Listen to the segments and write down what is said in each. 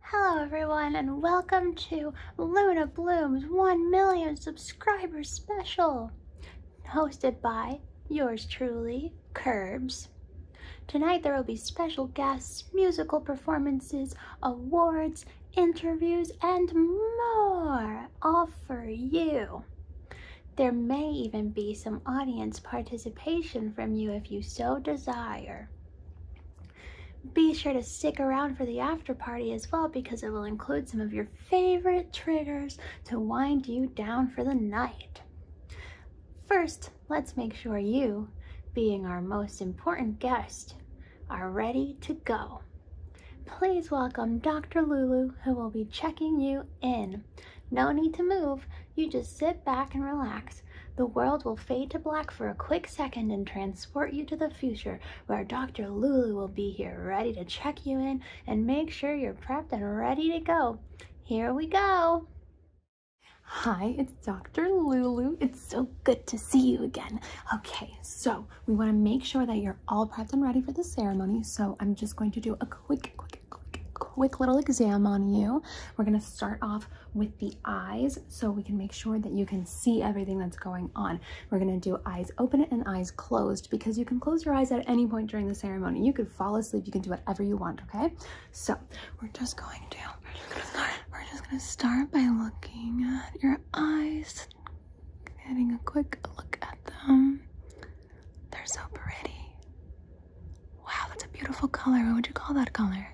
Hello everyone and welcome to Luna Bloom's 1 million subscribers special hosted by yours truly, Curbs. Tonight there will be special guests, musical performances, awards, interviews, and more all for you. There may even be some audience participation from you if you so desire. Be sure to stick around for the after party as well because it will include some of your favorite triggers to wind you down for the night. First, let's make sure you, being our most important guest, are ready to go. Please welcome Dr. Lulu, who will be checking you in. No need to move, you just sit back and relax the world will fade to black for a quick second and transport you to the future where Dr. Lulu will be here ready to check you in and make sure you're prepped and ready to go. Here we go. Hi, it's Dr. Lulu. It's so good to see you again. Okay, so we want to make sure that you're all prepped and ready for the ceremony. So I'm just going to do a quick, quick, quick little exam on you. We're going to start off with the eyes so we can make sure that you can see everything that's going on. We're gonna do eyes open and eyes closed because you can close your eyes at any point during the ceremony. You could fall asleep, you can do whatever you want, okay? So we're just going to, we're just gonna start by looking at your eyes, getting a quick look at them. They're so pretty. Wow, that's a beautiful color. What would you call that color?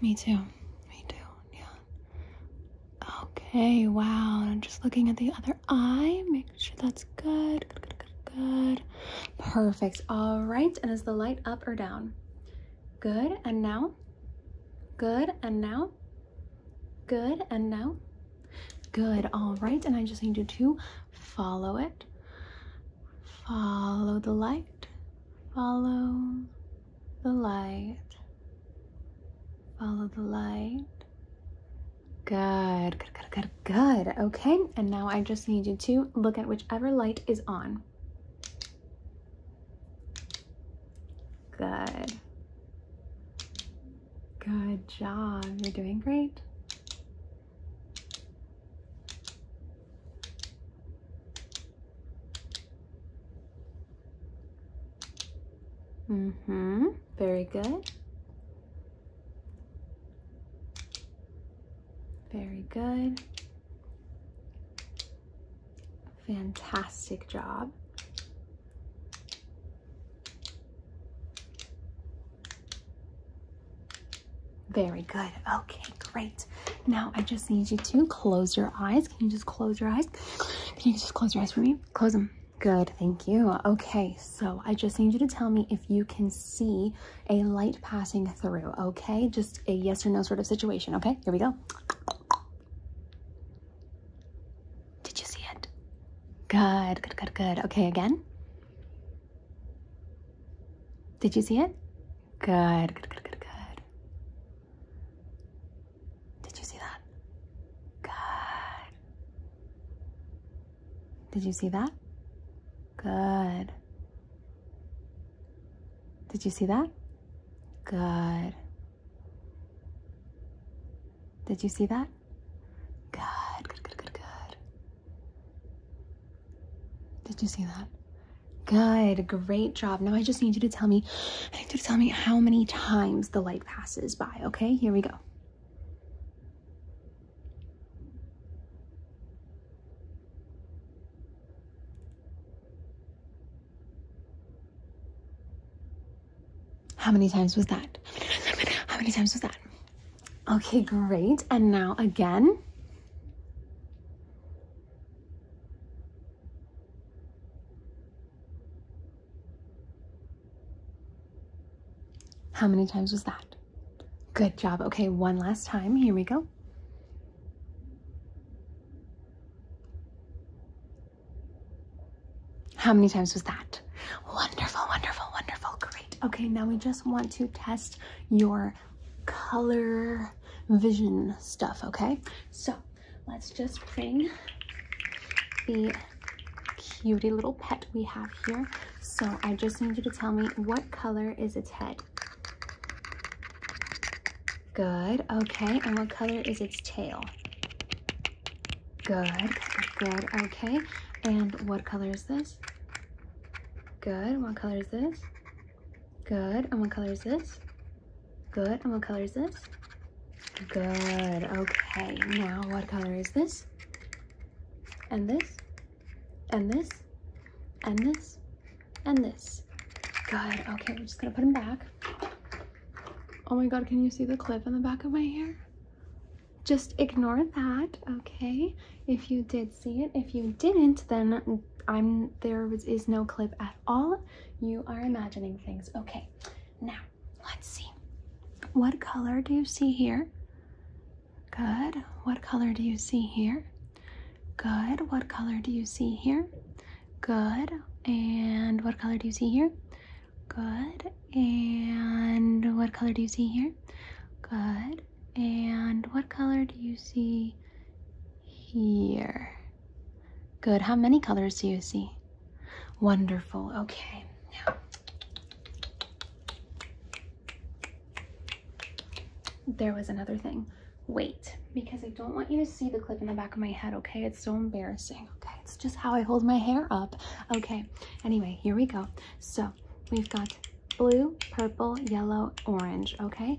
Me too. Me too. Yeah. Okay. Wow. just looking at the other eye, Make sure that's good, good. Perfect. All right. And is the light up or down? Good. And now? Good. And now? Good. And now? Good. All right. And I just need you to follow it. Follow the light. Follow the light. Follow the light. Good, good, good, good, Okay, and now I just need you to look at whichever light is on. Good. Good job. You're doing great. Mm-hmm, very good. Very good. Fantastic job. Very good. Okay, great. Now I just need you to close your eyes. Can you just close your eyes? Can you just close your eyes for me? Close them. Good, thank you. Okay, so I just need you to tell me if you can see a light passing through, okay? Just a yes or no sort of situation, okay? Here we go. Did you see it? Good, good, good, good. Okay, again. Did you see it? Good, good, good, good, good. Did you see that? Good. Did you see that? Good. Did you see that? Good. Did you see that? Good, good, good, good, good. Did you see that? Good, great job. Now I just need you to tell me, I need you to tell me how many times the light passes by, okay? Here we go. How many times was that? How many times was that? Okay, great. And now again. How many times was that? Good job. Okay, one last time. Here we go. How many times was that? Wonderful, wonderful, wonderful. Great. Okay, now we just want to test your color vision stuff, okay? So let's just bring the cutie little pet we have here. So I just need you to tell me what color is its head? Good, okay. And what color is its tail? Good, good, okay. And what color is this? Good, what color is this? Good. And what color is this? Good. And what color is this? Good. Okay. Now what color is this? And this? And this? And this? And this? Good. Okay. We're just going to put them back. Oh my god, can you see the clip in the back of my hair? Just ignore that, okay? If you did see it. If you didn't, then I'm is no clip at all. You are imagining things. Okay, now let's see. What color do you see here? Good. What color do you see here? Good. What color do you see here? Good. And what color do you see here? Good. And what color do you see here? Good. And what color do you see here? Good. How many colors do you see? Wonderful. Okay. Now. There was another thing. Wait, because I don't want you to see the clip in the back of my head, okay? It's so embarrassing, okay? It's just how I hold my hair up. Okay, anyway, here we go. So we've got blue, purple, yellow, orange, okay?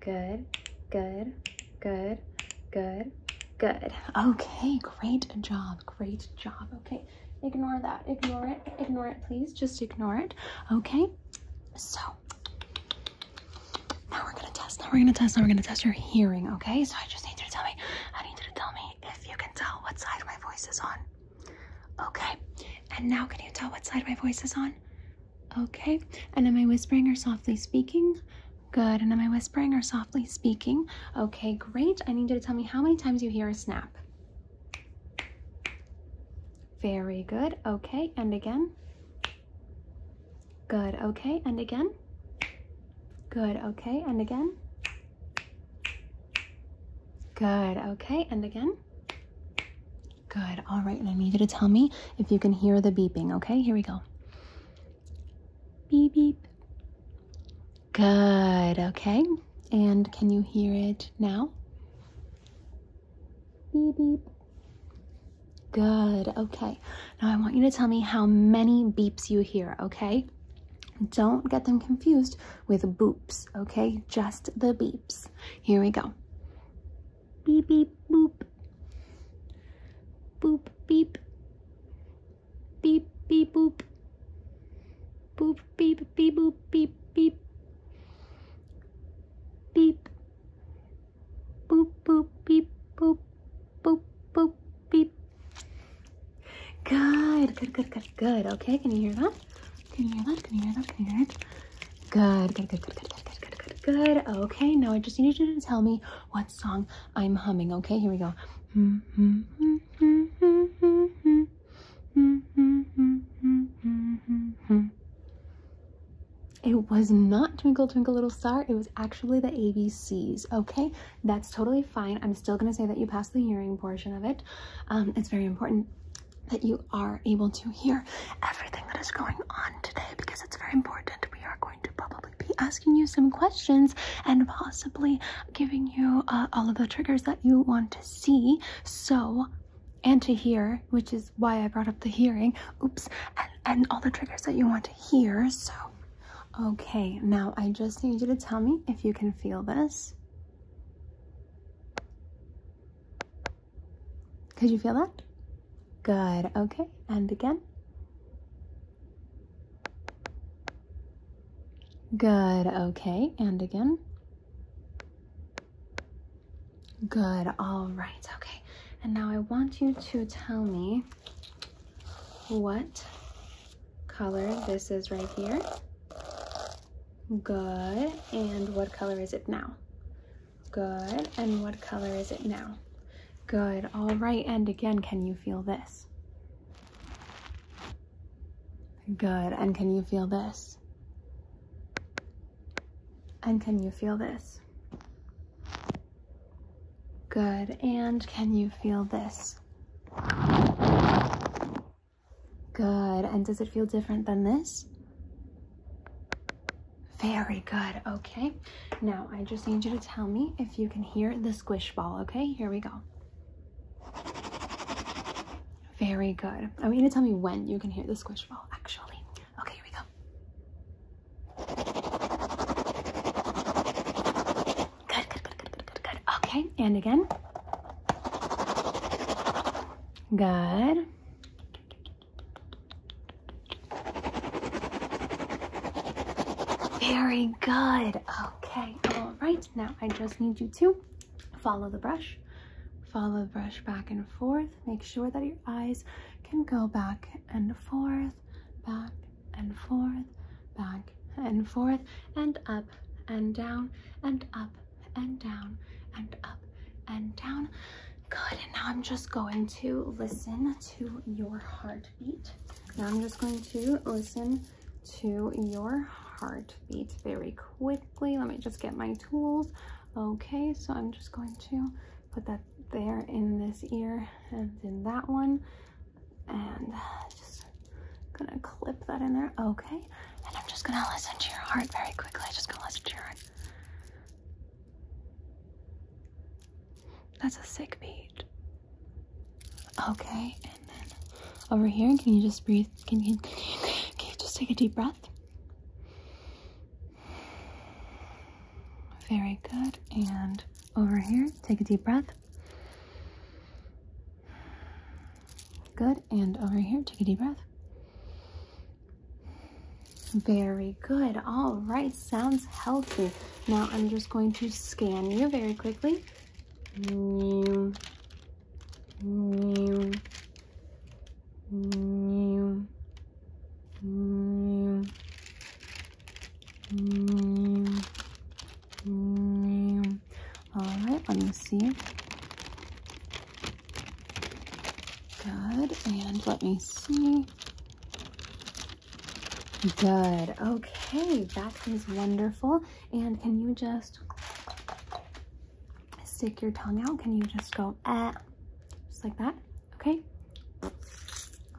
good, good, good, good, good. Okay, great job, great job. Okay, ignore that, ignore it, ignore it, please. Just ignore it, okay? So, now we're gonna test, now we're gonna test, now we're gonna test your hearing, okay? So I just need you to tell me, I need you to tell me if you can tell what side my voice is on. Okay, and now can you tell what side my voice is on? Okay, and am I whispering or softly speaking? Good. And am I whispering or softly speaking? Okay, great. I need you to tell me how many times you hear a snap. Very good. Okay, and again. Good. Okay, and again. Good. Okay, and again. Good. Okay, and again. Good. All right, and I need you to tell me if you can hear the beeping. Okay, here we go. Beep, beep. Good, okay. And can you hear it now? Beep, beep. Good, okay. Now I want you to tell me how many beeps you hear, okay? Don't get them confused with boops, okay? Just the beeps. Here we go. Beep, beep, boop, Boop, beep. Beep, beep, boop. Boop, beep, beep, boop, beep, beep. Beep. Boop, boop, beep, boop, boop, boop, beep. Good, good, good, good, good. Okay, can you hear that? Can you hear that? Can you hear that? Can you hear it? Good, good, good, good, good, good, good, good, good. Okay, now I just need you to tell me what song I'm humming. Okay, here we go. It was not Twinkle Twinkle Little Star. It was actually the ABCs, okay? That's totally fine. I'm still going to say that you passed the hearing portion of it. Um, it's very important that you are able to hear everything that is going on today because it's very important. We are going to probably be asking you some questions and possibly giving you uh, all of the triggers that you want to see. So, and to hear, which is why I brought up the hearing. Oops, and, and all the triggers that you want to hear. So, okay, now I just need you to tell me if you can feel this. Could you feel that? Good. Okay, and again. Good, okay, and again. Good, all right, okay. And now I want you to tell me what color this is right here. Good, and what color is it now? Good, and what color is it now? Good. All right. And again, can you feel this? Good. And can you feel this? And can you feel this? Good. And can you feel this? Good. And does it feel different than this? Very good. Okay. Now, I just need you to tell me if you can hear the squish ball, okay? Here we go. Very good. I want you to tell me when you can hear the squish ball, actually. Okay, here we go. Good, good, good, good, good, good, good. Okay, and again. Good. Very good. Okay, all right. Now I just need you to follow the brush. Follow the brush back and forth. Make sure that your eyes can go back and forth, back and forth, back and forth, and up and down, and up and down, and up and down. Good, now I'm just going to listen to your heart heartbeat. Now I'm just going to listen to your heartbeat very quickly. Let me just get my tools. Okay, so I'm just going to put that there in this ear and in that one. And just gonna clip that in there. Okay, and I'm just gonna listen to your heart very quickly. Just gonna listen to your heart. That's a sick beat. Okay, and then over here, can you just breathe? Can you, can you, just take a deep breath? Very good. And over here, take a deep breath. Good. And over here, take a deep breath. Very good. All right. Sounds healthy. Now I'm just going to scan you very quickly. All right, let me see. Good, and let me see. Good. Okay, that is wonderful. And can you just stick your tongue out? Can you just go, eh, just like that? Okay.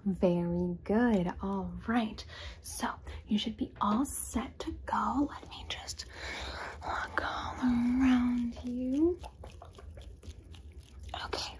Very good. All right. So you should be all set to go. Let me just look all around you. Okay,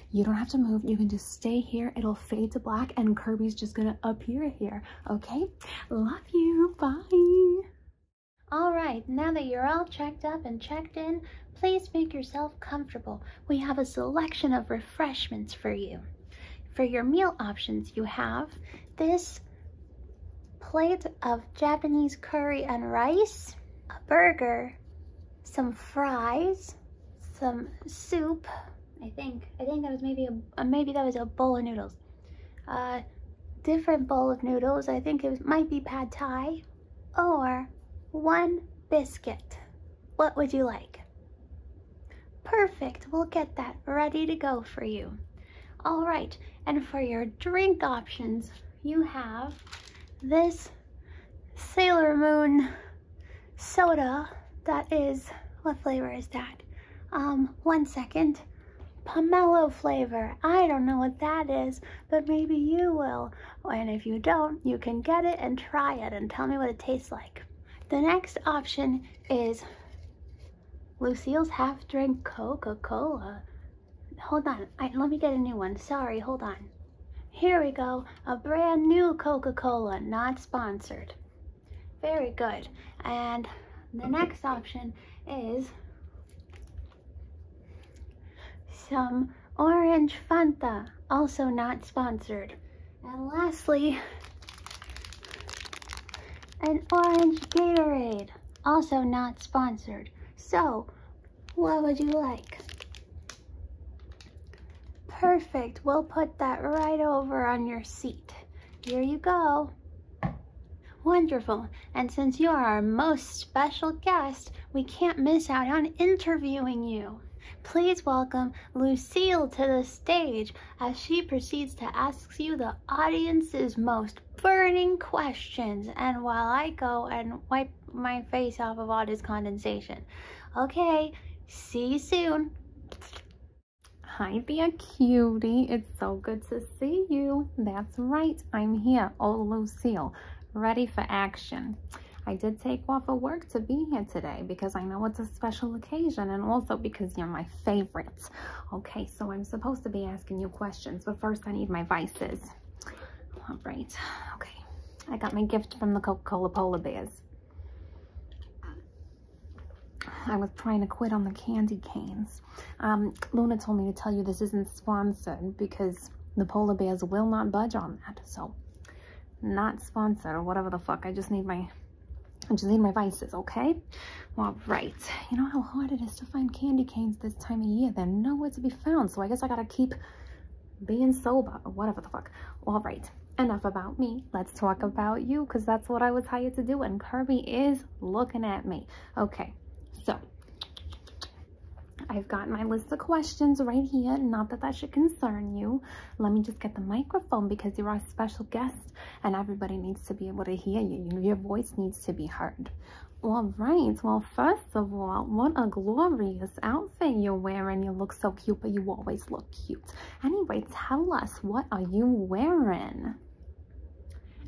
You don't have to move. You can just stay here. It'll fade to black and Kirby's just gonna appear here, okay? Love you, bye. All right, now that you're all checked up and checked in, please make yourself comfortable. We have a selection of refreshments for you. For your meal options, you have this plate of Japanese curry and rice, a burger, some fries, some soup, I think. I think that was maybe a, uh, maybe that was a bowl of noodles. Uh, different bowl of noodles. I think it might be pad thai or one biscuit. What would you like? Perfect. We'll get that ready to go for you. All right. And for your drink options, you have this Sailor Moon soda that is, what flavor is that? Um, one second. Pomelo flavor. I don't know what that is, but maybe you will. And if you don't, you can get it and try it and tell me what it tastes like. The next option is Lucille's half drink Coca-Cola. Hold on, let me get a new one. Sorry, hold on. Here we go, a brand new Coca-Cola, not sponsored. Very good. And the next option is some orange Fanta, also not sponsored. And lastly, an orange Gatorade, also not sponsored. So, what would you like? Perfect. We'll put that right over on your seat. Here you go. Wonderful. And since you are our most special guest, we can't miss out on interviewing you. Please welcome Lucille to the stage as she proceeds to ask you the audience's most burning questions and while I go and wipe my face off of all this condensation. Okay, see you soon. Hi there, cutie. It's so good to see you. That's right. I'm here. Oh, Lucille, ready for action. I did take off of work to be here today because I know it's a special occasion and also because you're my favorite. Okay, so I'm supposed to be asking you questions, but first I need my vices. All right. Okay. I got my gift from the Coca-Cola Polar Bears. I was trying to quit on the candy canes. Um, Luna told me to tell you this isn't sponsored because the polar bears will not budge on that. So, not sponsored or whatever the fuck. I just need my, I just need my vices, okay? All right. You know how hard it is to find candy canes this time of year. They're nowhere to be found. So I guess I gotta keep being sober or whatever the fuck. All right enough about me. Let's talk about you because that's what I was hired to do. And Kirby is looking at me. Okay, so I've got my list of questions right here. Not that that should concern you. Let me just get the microphone because you're our special guest and everybody needs to be able to hear you. Your voice needs to be heard. All right, well, first of all, what a glorious outfit you're wearing. You look so cute, but you always look cute. Anyway, tell us, what are you wearing?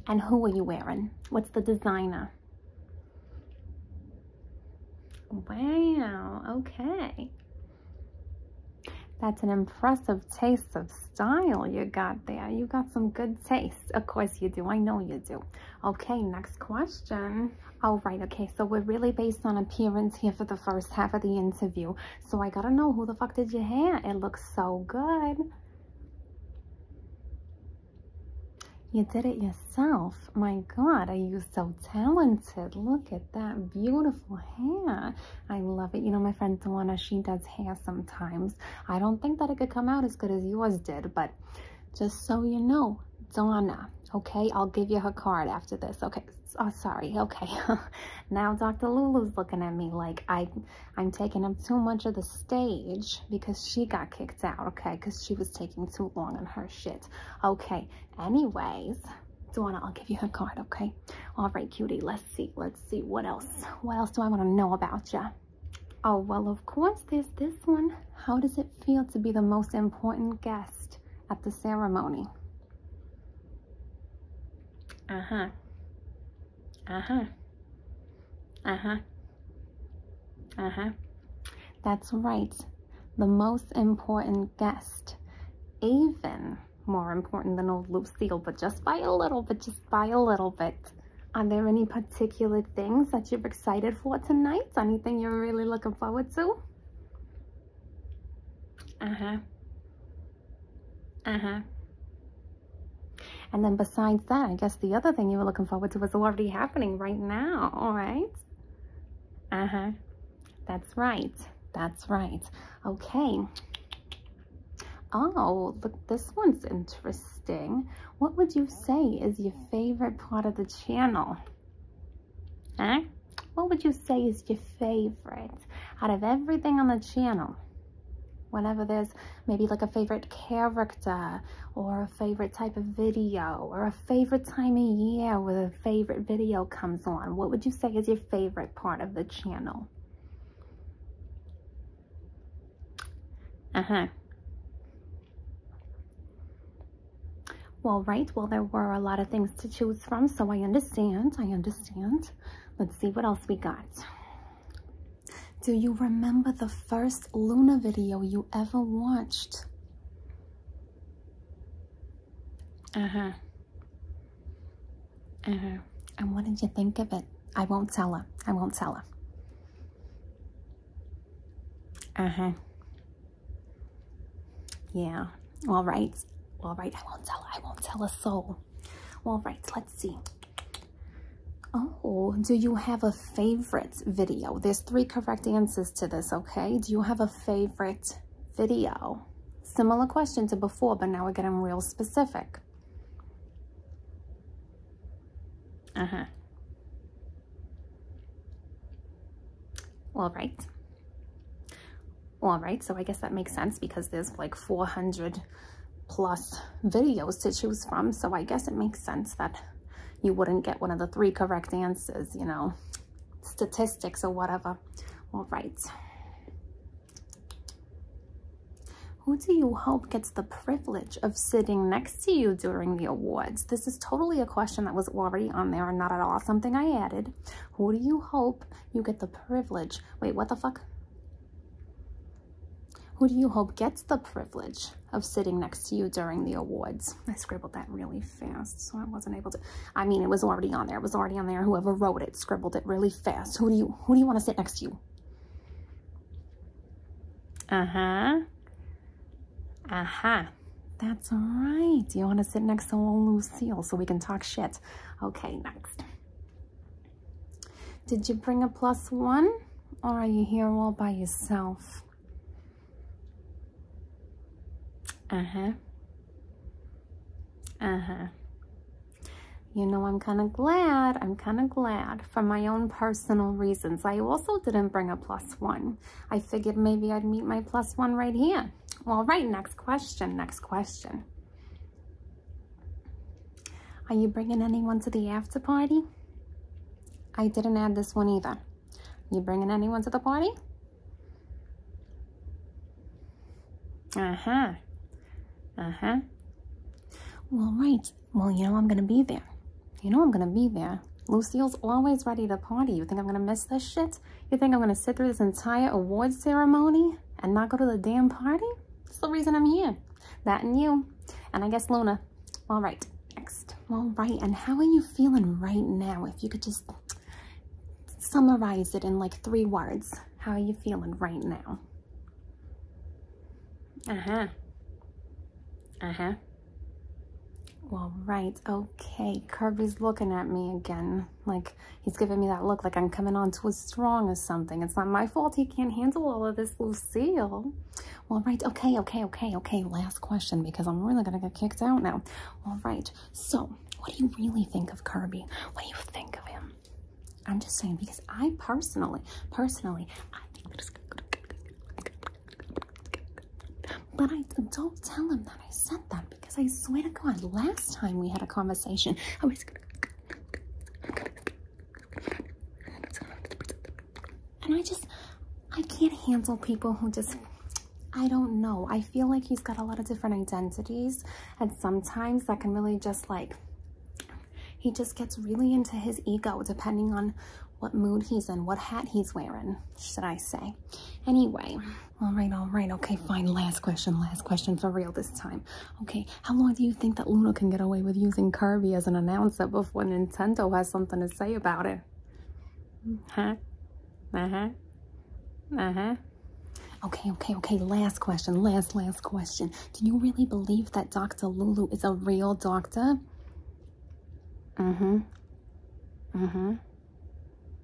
And who are you wearing? What's the designer? Wow, okay. That's an impressive taste of style you got there. You got some good taste. Of course you do. I know you do. Okay, next question. All right, okay, so we're really based on appearance here for the first half of the interview. So I gotta know who the fuck did your hair. It looks so good. You did it yourself. My God, are you so talented? Look at that beautiful hair. I love it. You know, my friend Donna. she does hair sometimes. I don't think that it could come out as good as yours did, but just so you know, Donna, okay? I'll give you her card after this. Okay, oh, sorry. Okay. now Dr. Lulu's looking at me like I, I'm taking up too much of the stage because she got kicked out, okay? Because she was taking too long on her shit. Okay. Anyways, Donna, I'll give you her card, okay? All right, cutie. Let's see. Let's see. What else? What else do I want to know about you? Oh, well, of course, there's this one. How does it feel to be the most important guest? at the ceremony. Uh-huh. Uh-huh. Uh-huh. Uh-huh. That's right. The most important guest. Even more important than old Lucille, but just by a little bit, just by a little bit. Are there any particular things that you're excited for tonight? Anything you're really looking forward to? Uh-huh. Uh-huh. And then besides that, I guess the other thing you were looking forward to was already happening right now, all right? Uh-huh. That's right. That's right. Okay. Oh, look, this one's interesting. What would you say is your favorite part of the channel? Huh? what would you say is your favorite out of everything on the channel? Whenever there's maybe like a favorite character or a favorite type of video or a favorite time of year where a favorite video comes on, what would you say is your favorite part of the channel? Uh-huh. Well, right. Well, there were a lot of things to choose from, so I understand. I understand understand. Let's see what else we got. Do you remember the first Luna video you ever watched? Uh huh. Uh huh. And what did you think of it? I won't tell her. I won't tell her. Uh huh. Yeah. All right. All right. I won't tell. I won't tell a soul. All right. Let's see. Oh, do you have a favorite video? There's three correct answers to this, okay? Do you have a favorite video? Similar question to before, but now we're getting real specific. Uh-huh. All right all right so i guess that makes sense because there's like 400 plus videos to choose from so i guess it makes sense that you wouldn't get one of the three correct answers you know statistics or whatever all right who do you hope gets the privilege of sitting next to you during the awards? This is totally a question that was already on there not at all something I added. Who do you hope you get the privilege? Wait, what the fuck? Who do you hope gets the privilege of sitting next to you during the awards? I scribbled that really fast, so I wasn't able to. I mean, it was already on there. It was already on there. Whoever wrote it scribbled it really fast. Who do you who do you want to sit next to you? Uh-huh. Uh-huh. That's all right. You want to sit next to old Lucille so we can talk shit. Okay, next. Did you bring a plus one or are you here all by yourself? Uh-huh. Uh-huh. You know, I'm kind of glad. I'm kind of glad for my own personal reasons. I also didn't bring a plus one. I figured maybe I'd meet my plus one right here. All right, next question, next question. Are you bringing anyone to the after party? I didn't add this one either. You bringing anyone to the party? Uh-huh. Uh-huh. Well, right. Well, you know I'm going to be there. You know I'm going to be there. Lucille's always ready to party. You think I'm going to miss this shit? You think I'm gonna sit through this entire award ceremony and not go to the damn party? That's the reason I'm here. That and you. And I guess Luna. All right, next. All right, and how are you feeling right now? If you could just summarize it in like three words. How are you feeling right now? Uh-huh. Uh-huh. All right, okay. Kirby's looking at me again. Like, he's giving me that look like I'm coming on to too strong as something. It's not my fault he can't handle all of this, Lucille. All right, okay, okay, okay, okay. Last question because I'm really going to get kicked out now. All right, so what do you really think of Kirby? What do you think of him? I'm just saying because I personally, personally, I think that's good. But I don't tell him that I sent them because I swear to God, last time we had a conversation, I was and I just, I can't handle people who just, I don't know. I feel like he's got a lot of different identities, and sometimes that can really just like, he just gets really into his ego depending on what mood he's in, what hat he's wearing, should I say. Anyway, all right, all right. Okay, fine. Last question, last question for real this time. Okay, how long do you think that Luna can get away with using Kirby as an announcer before Nintendo has something to say about it? Huh? Uh-huh. Uh-huh. Okay, okay, okay. Last question. Last, last question. Do you really believe that Dr. Lulu is a real doctor? Mm-hmm. Mm-hmm.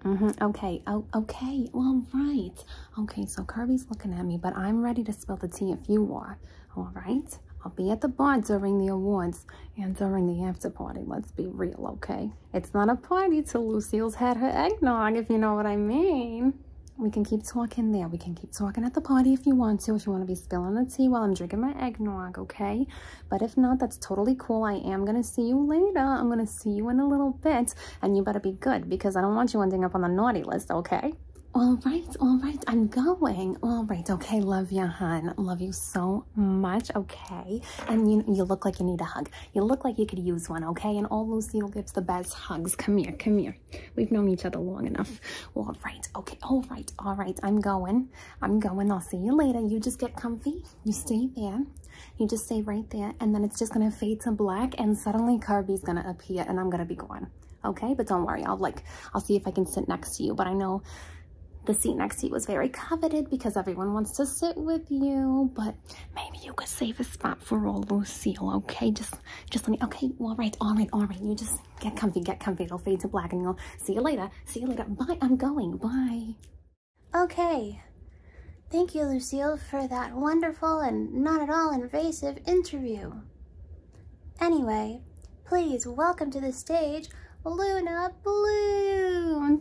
Mm Okay. Oh, okay. Well, right. Okay, so Kirby's looking at me, but I'm ready to spill the tea if you are. All right? I'll be at the bar during the awards and during the after party. Let's be real, okay? It's not a party till Lucille's had her eggnog, if you know what I mean. We can keep talking there. We can keep talking at the party if you want to, if you want to be spilling the tea while I'm drinking my eggnog, okay? But if not, that's totally cool. I am going to see you later. I'm going to see you in a little bit and you better be good because I don't want you ending up on the naughty list, okay? All right, all right, I'm going. All right, okay, love you, hun. Love you so much, okay? And you you look like you need a hug. You look like you could use one, okay? And all Lucille gives the best hugs. Come here, come here. We've known each other long enough. All right, okay, all right, all right, I'm going. I'm going, I'll see you later. You just get comfy, you stay there, you just stay right there and then it's just gonna fade to black and suddenly Kirby's gonna appear and I'm gonna be gone. Okay, but don't worry, I'll like, I'll see if I can sit next to you, but I know the seat next to you was very coveted because everyone wants to sit with you, but maybe you could save a spot for old seal. okay? Just, just let me, okay, all right, all right, all right. You just get comfy, get comfy. It'll fade to black and i will see you later, see you later. Bye, I'm going, bye. Okay, Thank you, Lucille, for that wonderful and not at all invasive interview. Anyway, please welcome to the stage Luna Bloom.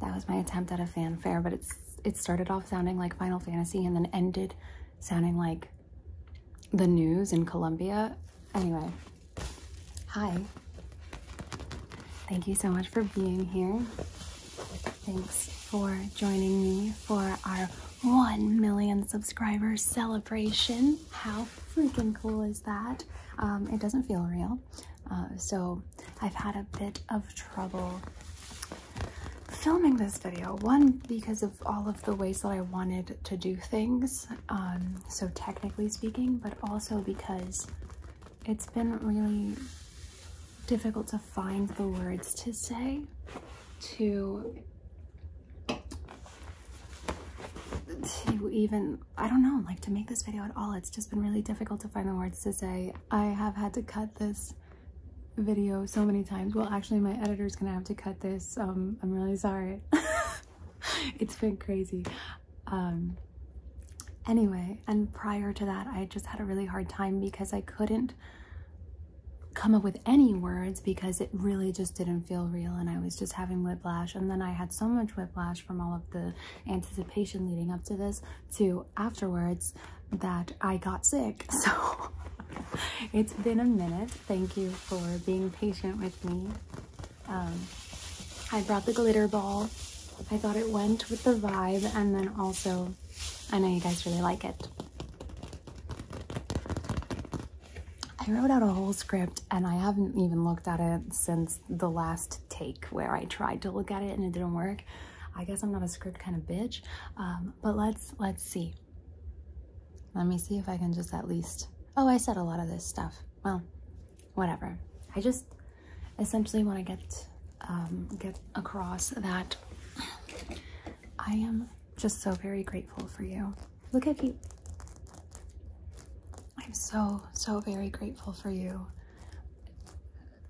That was my attempt at a fanfare, but it's it started off sounding like Final Fantasy and then ended sounding like the news in Colombia Anyway, hi. Thank you so much for being here. Thanks for joining me for our 1 million subscribers celebration. How freaking cool is that? Um, it doesn't feel real. Uh, so I've had a bit of trouble filming this video. One, because of all of the ways that I wanted to do things, um, so technically speaking, but also because it's been really difficult to find the words to say to to even I don't know like to make this video at all it's just been really difficult to find the words to say I have had to cut this video so many times well actually my editor's gonna have to cut this um, I'm really sorry it's been crazy. Um, anyway, and prior to that, I just had a really hard time because I couldn't come up with any words because it really just didn't feel real and I was just having whiplash and then I had so much whiplash from all of the anticipation leading up to this to afterwards that I got sick so it's been a minute thank you for being patient with me um, I brought the glitter ball. I thought it went with the vibe, and then also, I know you guys really like it. I wrote out a whole script and I haven't even looked at it since the last take where I tried to look at it and it didn't work. I guess I'm not a script kind of bitch, um, but let's, let's see. Let me see if I can just at least, oh, I said a lot of this stuff. Well, whatever. I just essentially want to get um, get across that I am just so very grateful for you. Look at you, I'm so, so very grateful for you.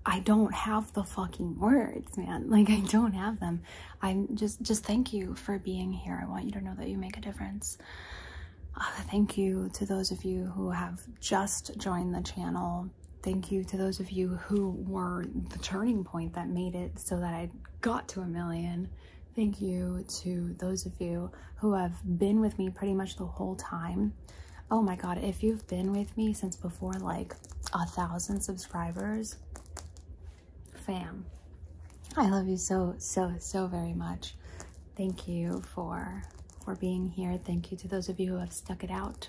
I don't have the fucking words, man. Like I don't have them. I'm just, just thank you for being here. I want you to know that you make a difference thank you to those of you who have just joined the channel. Thank you to those of you who were the turning point that made it so that I got to a million. Thank you to those of you who have been with me pretty much the whole time. Oh my god, if you've been with me since before like a thousand subscribers, fam, I love you so, so, so very much. Thank you for for being here. Thank you to those of you who have stuck it out.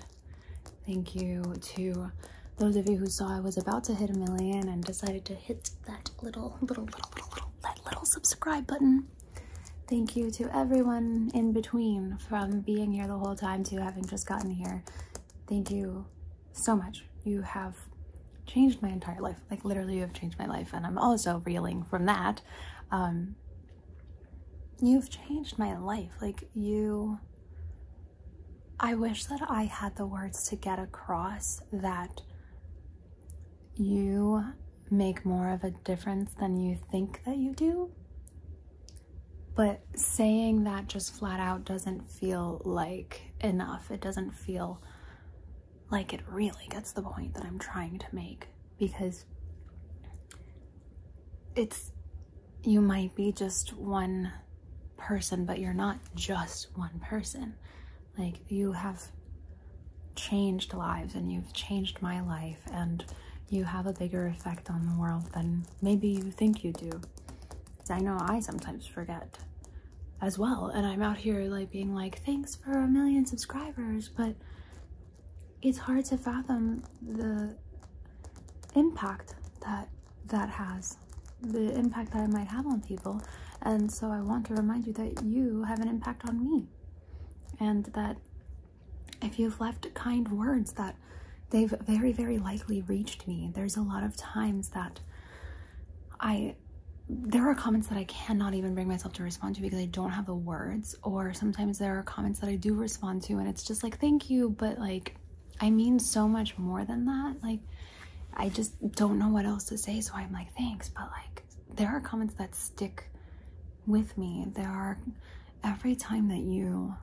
Thank you to those of you who saw I was about to hit a million and decided to hit that little, little, little, little, little, that little subscribe button. Thank you to everyone in between from being here the whole time to having just gotten here. Thank you so much. You have changed my entire life. Like literally you have changed my life and I'm also reeling from that. Um, You've changed my life. Like, you. I wish that I had the words to get across that you make more of a difference than you think that you do. But saying that just flat out doesn't feel like enough. It doesn't feel like it really gets the point that I'm trying to make because it's you might be just one person but you're not just one person like you have changed lives and you've changed my life and you have a bigger effect on the world than maybe you think you do i know i sometimes forget as well and i'm out here like being like thanks for a million subscribers but it's hard to fathom the impact that that has the impact that i might have on people and so i want to remind you that you have an impact on me and that if you've left kind words that they've very very likely reached me there's a lot of times that i there are comments that i cannot even bring myself to respond to because i don't have the words or sometimes there are comments that I do respond to and it's just like thank you but like I mean so much more than that like I just don't know what else to say so I'm like thanks but like there are comments that stick with me there are every time that you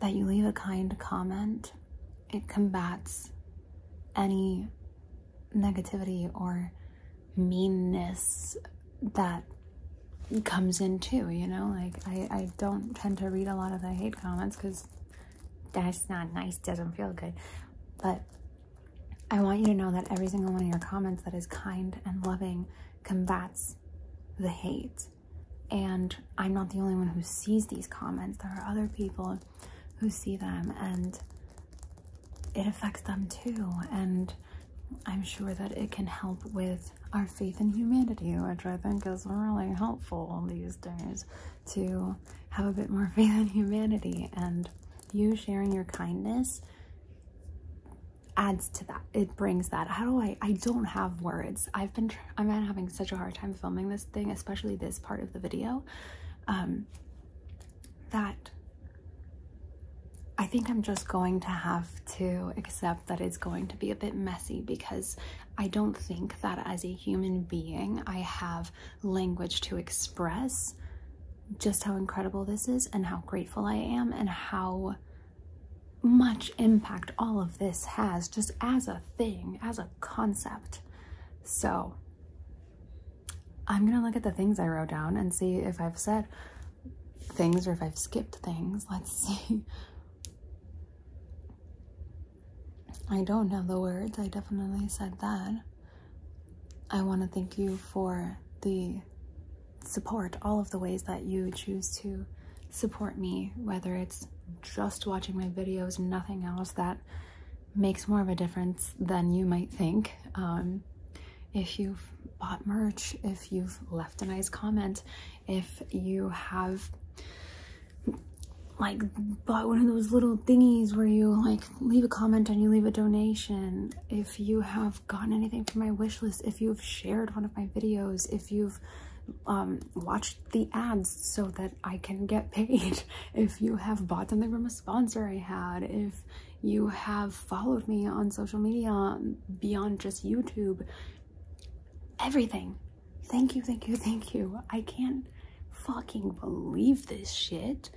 that you leave a kind comment it combats any negativity or meanness that comes in too, you know? Like, I, I don't tend to read a lot of the hate comments because that's not nice, doesn't feel good. But I want you to know that every single one of your comments that is kind and loving combats the hate. And I'm not the only one who sees these comments. There are other people who see them and it affects them too. And I'm sure that it can help with our faith in humanity, which I think is really helpful these days to have a bit more faith in humanity. And you sharing your kindness adds to that. It brings that. How do I, I don't have words. I've been, I'm having such a hard time filming this thing, especially this part of the video, um, that I think I'm just going to have to accept that it's going to be a bit messy because I don't think that as a human being I have language to express just how incredible this is and how grateful I am and how much impact all of this has just as a thing, as a concept. So I'm gonna look at the things I wrote down and see if I've said things or if I've skipped things. Let's see. I don't have the words. I definitely said that. I want to thank you for the support, all of the ways that you choose to support me, whether it's just watching my videos, nothing else that makes more of a difference than you might think. Um, if you've bought merch, if you've left a nice comment, if you have like bought one of those little thingies where you like leave a comment and you leave a donation, if you have gotten anything from my wish list, if you've shared one of my videos, if you've um, watched the ads so that I can get paid, if you have bought something from a sponsor I had, if you have followed me on social media beyond just YouTube. Everything. Thank you, thank you, thank you. I can't fucking believe this shit.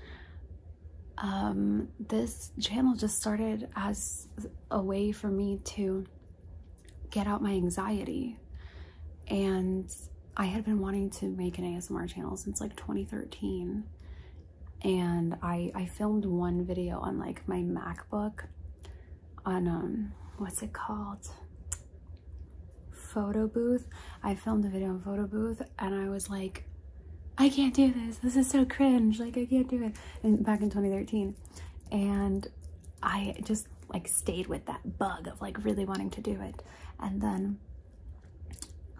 Um, this channel just started as a way for me to get out my anxiety. And I had been wanting to make an ASMR channel since like 2013 and I, I filmed one video on like my MacBook on, um, what's it called? Photo Booth. I filmed a video on Photo Booth and I was like, I can't do this. This is so cringe. Like I can't do it. And back in 2013. And I just like stayed with that bug of like really wanting to do it. And then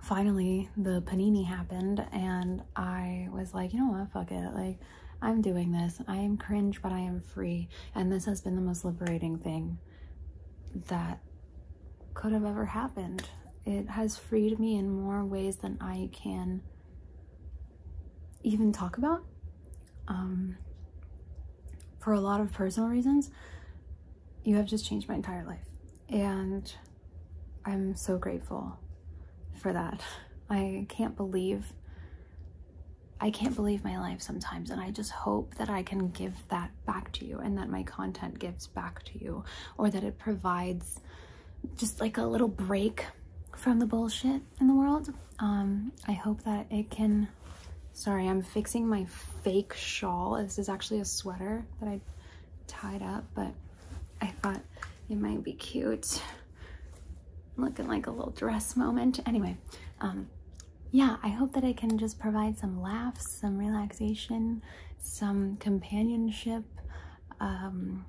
finally the panini happened and I was like, you know what, fuck it. Like, I'm doing this. I am cringe, but I am free. And this has been the most liberating thing that could have ever happened. It has freed me in more ways than I can even talk about. Um, for a lot of personal reasons, you have just changed my entire life. And I'm so grateful for that. I can't believe I can't believe my life sometimes and I just hope that I can give that back to you and that my content gives back to you or that it provides just like a little break from the bullshit in the world. Um, I hope that it can, sorry, I'm fixing my fake shawl. This is actually a sweater that I tied up, but I thought it might be cute. Looking like a little dress moment. Anyway, um, yeah, I hope that I can just provide some laughs, some relaxation, some companionship, um,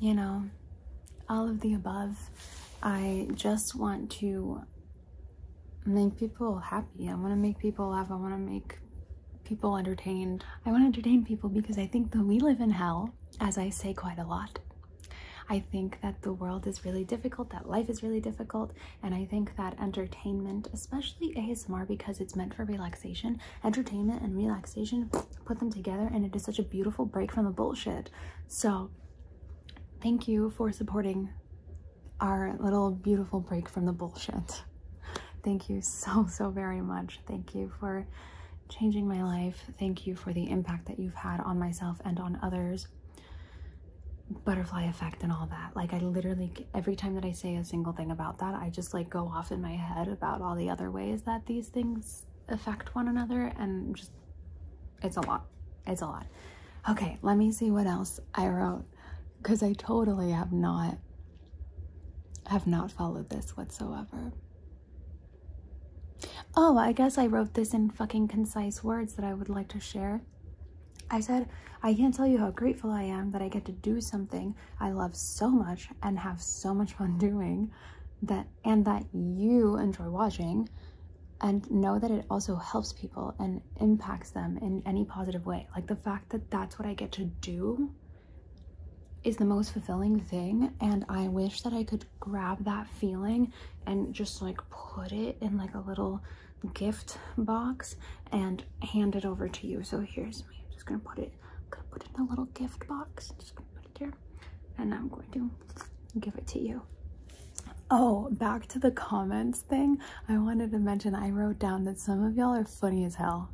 you know, all of the above. I just want to make people happy. I want to make people laugh. I want to make people entertained. I want to entertain people because I think that we live in hell, as I say quite a lot. I think that the world is really difficult, that life is really difficult, and I think that entertainment, especially ASMR because it's meant for relaxation, entertainment and relaxation, put them together and it is such a beautiful break from the bullshit. So thank you for supporting our little beautiful break from the bullshit. Thank you so, so very much. Thank you for changing my life. Thank you for the impact that you've had on myself and on others. Butterfly effect and all that. Like, I literally, every time that I say a single thing about that, I just like go off in my head about all the other ways that these things affect one another. And just, it's a lot. It's a lot. Okay, let me see what else I wrote because I totally have not have not followed this whatsoever. Oh, I guess I wrote this in fucking concise words that I would like to share. I said, I can't tell you how grateful I am that I get to do something I love so much and have so much fun doing that and that you enjoy watching and know that it also helps people and impacts them in any positive way. Like the fact that that's what I get to do is the most fulfilling thing and i wish that i could grab that feeling and just like put it in like a little gift box and hand it over to you so here's me i'm just gonna put it i'm gonna put it in a little gift box just gonna put it there and i'm going to give it to you Oh, back to the comments thing. I wanted to mention I wrote down that some of y'all are funny as hell.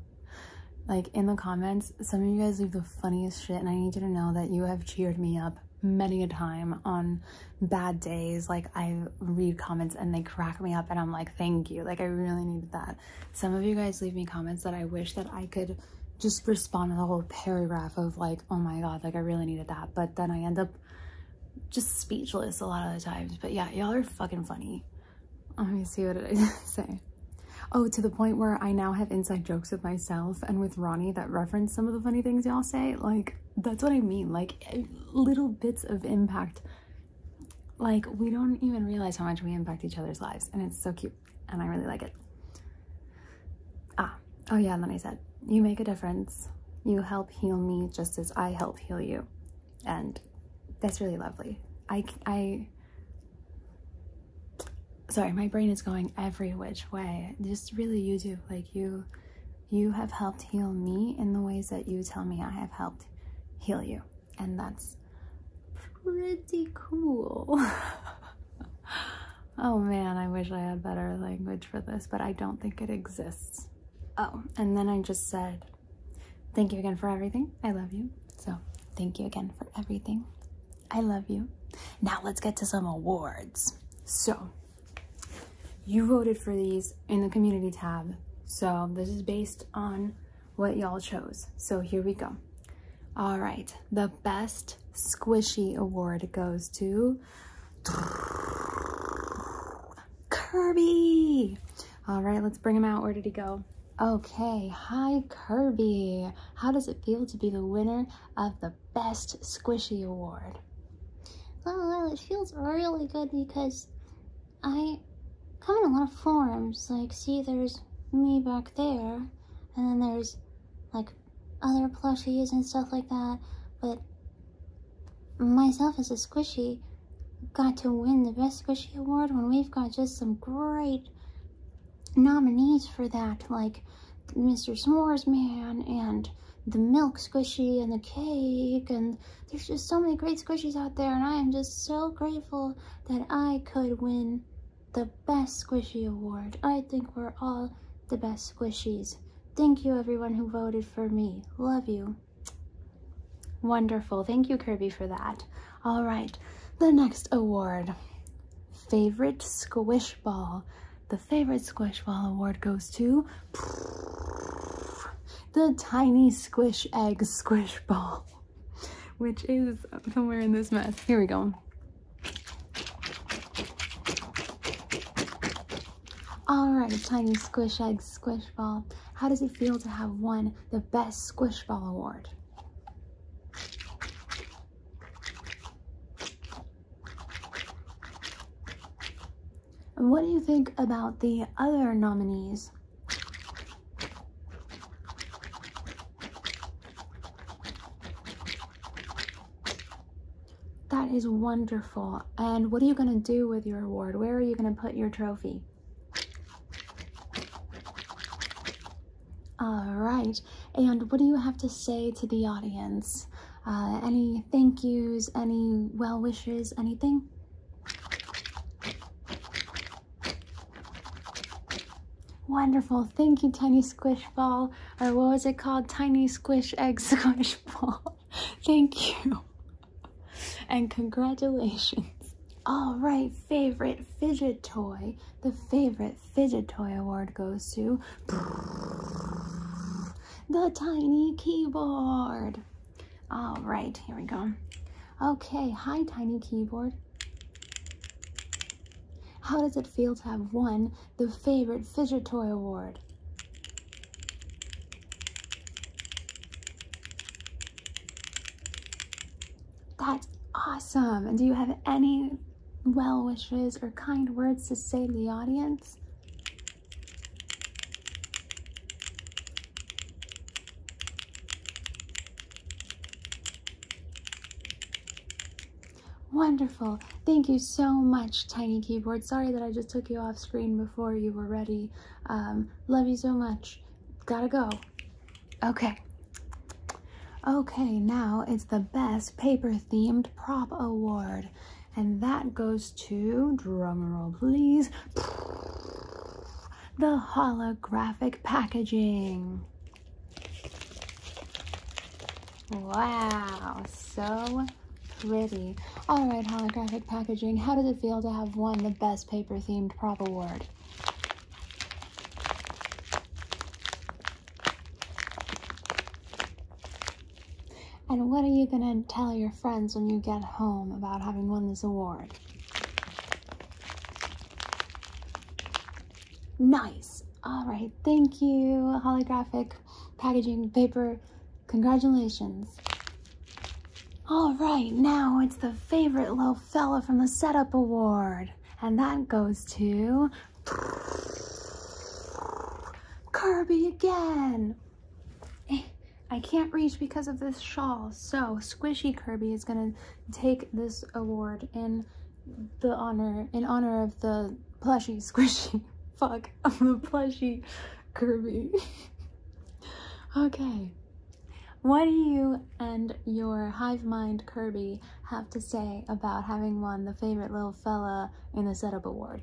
Like in the comments, some of you guys leave the funniest shit and I need you to know that you have cheered me up many a time on bad days. Like I read comments and they crack me up and I'm like, thank you. Like I really needed that. Some of you guys leave me comments that I wish that I could just respond with a whole paragraph of like, oh my God, like I really needed that. But then I end up just speechless a lot of the times. But yeah, y'all are fucking funny. Let me see what did I say. Oh, to the point where I now have inside jokes with myself and with Ronnie that reference some of the funny things y'all say. Like, that's what I mean. Like, eh, little bits of impact. Like, we don't even realize how much we impact each other's lives. And it's so cute. And I really like it. Ah, oh yeah, and then I said, you make a difference. You help heal me just as I help heal you. And that's really lovely. I, I, sorry my brain is going every which way just really you like you you have helped heal me in the ways that you tell me i have helped heal you and that's pretty cool oh man i wish i had better language for this but i don't think it exists oh and then i just said thank you again for everything i love you so, thank you again for everything. I love you. Now, let's get to some awards. So, you voted for these in the community tab. So, this is based on what y'all chose. So, here we go. All right, the best squishy award goes to Kirby. All right, let's bring him out. Where did he go? Okay, hi Kirby. How does it feel to be the winner of the Best Squishy Award? Well, it feels really good because I come in a lot of forms. Like, see, there's me back there, and then there's like other plushies and stuff like that. But myself as a squishy got to win the best squishy award when we've got just some great nominees for that, like Mr. S'mores Man and the milk squishy and the cake and there's just so many great squishies out there and I am just so grateful that I could win the best squishy award. I think we're all the best squishies. Thank you everyone who voted for me. Love you. Wonderful. Thank you Kirby for that. All right, the next award favorite squish ball. The favorite squish ball award goes to the tiny squish egg squish ball, which is somewhere in this mess. Here we go. All right, tiny squish egg squish ball. How does it feel to have won the best squish ball award? What do you think about the other nominees? That is wonderful. And what are you going to do with your award? Where are you going to put your trophy? All right. And what do you have to say to the audience? Uh, any thank yous, any well wishes, anything? Wonderful. Thank you, Tiny Squish Ball. Or what was it called? Tiny Squish Egg Squish Ball. Thank you. And congratulations. All right, favorite fidget toy. The favorite fidget toy award goes to the tiny keyboard. All right, here we go. Okay, hi tiny keyboard. How does it feel to have won the favorite fidget toy award? That's awesome. And do you have any well wishes or kind words to say to the audience? Wonderful. Thank you so much, Tiny Keyboard. Sorry that I just took you off screen before you were ready. Um, love you so much. Gotta go. Okay. Okay. now it's the best paper themed prop award. And that goes to, drumroll please, the holographic packaging. Wow, so pretty. All right, holographic packaging, how does it feel to have won the best paper themed prop award? And what are you going to tell your friends when you get home about having won this award? Nice! All right, thank you, holographic packaging paper. Congratulations. All right, now it's the favorite little fella from the setup award. And that goes to Kirby again. Eh, I can't reach because of this shawl. So Squishy Kirby is gonna take this award in the honor in honor of the plushy squishy fuck of the plushy Kirby. okay. What do you and your hive mind Kirby have to say about having won the favorite little fella in the setup award?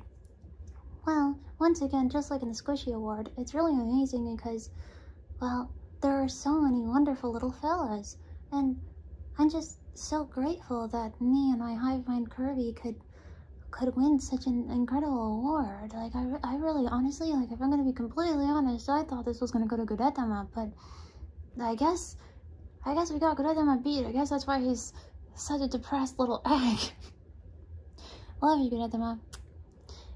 Well, once again, just like in the Squishy Award, it's really amazing because, well, there are so many wonderful little fellas, and I'm just so grateful that me and my hive mind Kirby could could win such an incredible award. Like, I, I really, honestly, like, if I'm gonna be completely honest, I thought this was gonna go to Gudetama, but I guess, I guess we got Gudai beat. I guess that's why he's such a depressed little egg. Love you, Gudai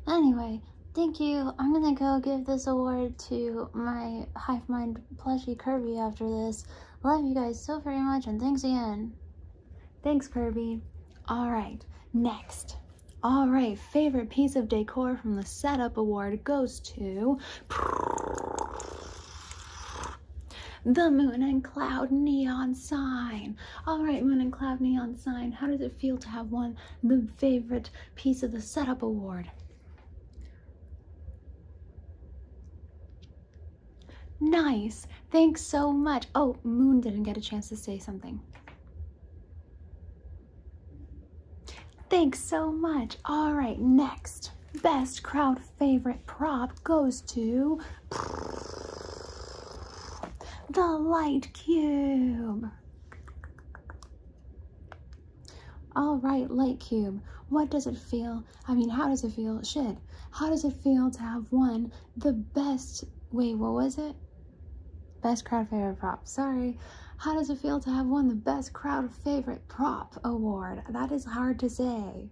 Anyway, thank you. I'm gonna go give this award to my Hive Mind plushie Kirby after this. Love you guys so very much and thanks again. Thanks, Kirby. All right, next. All right, favorite piece of decor from the setup award goes to the moon and cloud neon sign. All right, moon and cloud neon sign. How does it feel to have won the favorite piece of the setup award? Nice. Thanks so much. Oh, Moon didn't get a chance to say something. Thanks so much. All right, next. Best crowd favorite prop goes to the light cube. All right, light cube. What does it feel? I mean, how does it feel? Shit. How does it feel to have won the best? Wait, what was it? Best crowd favorite prop. Sorry. How does it feel to have won the best crowd favorite? prop award. That is hard to say.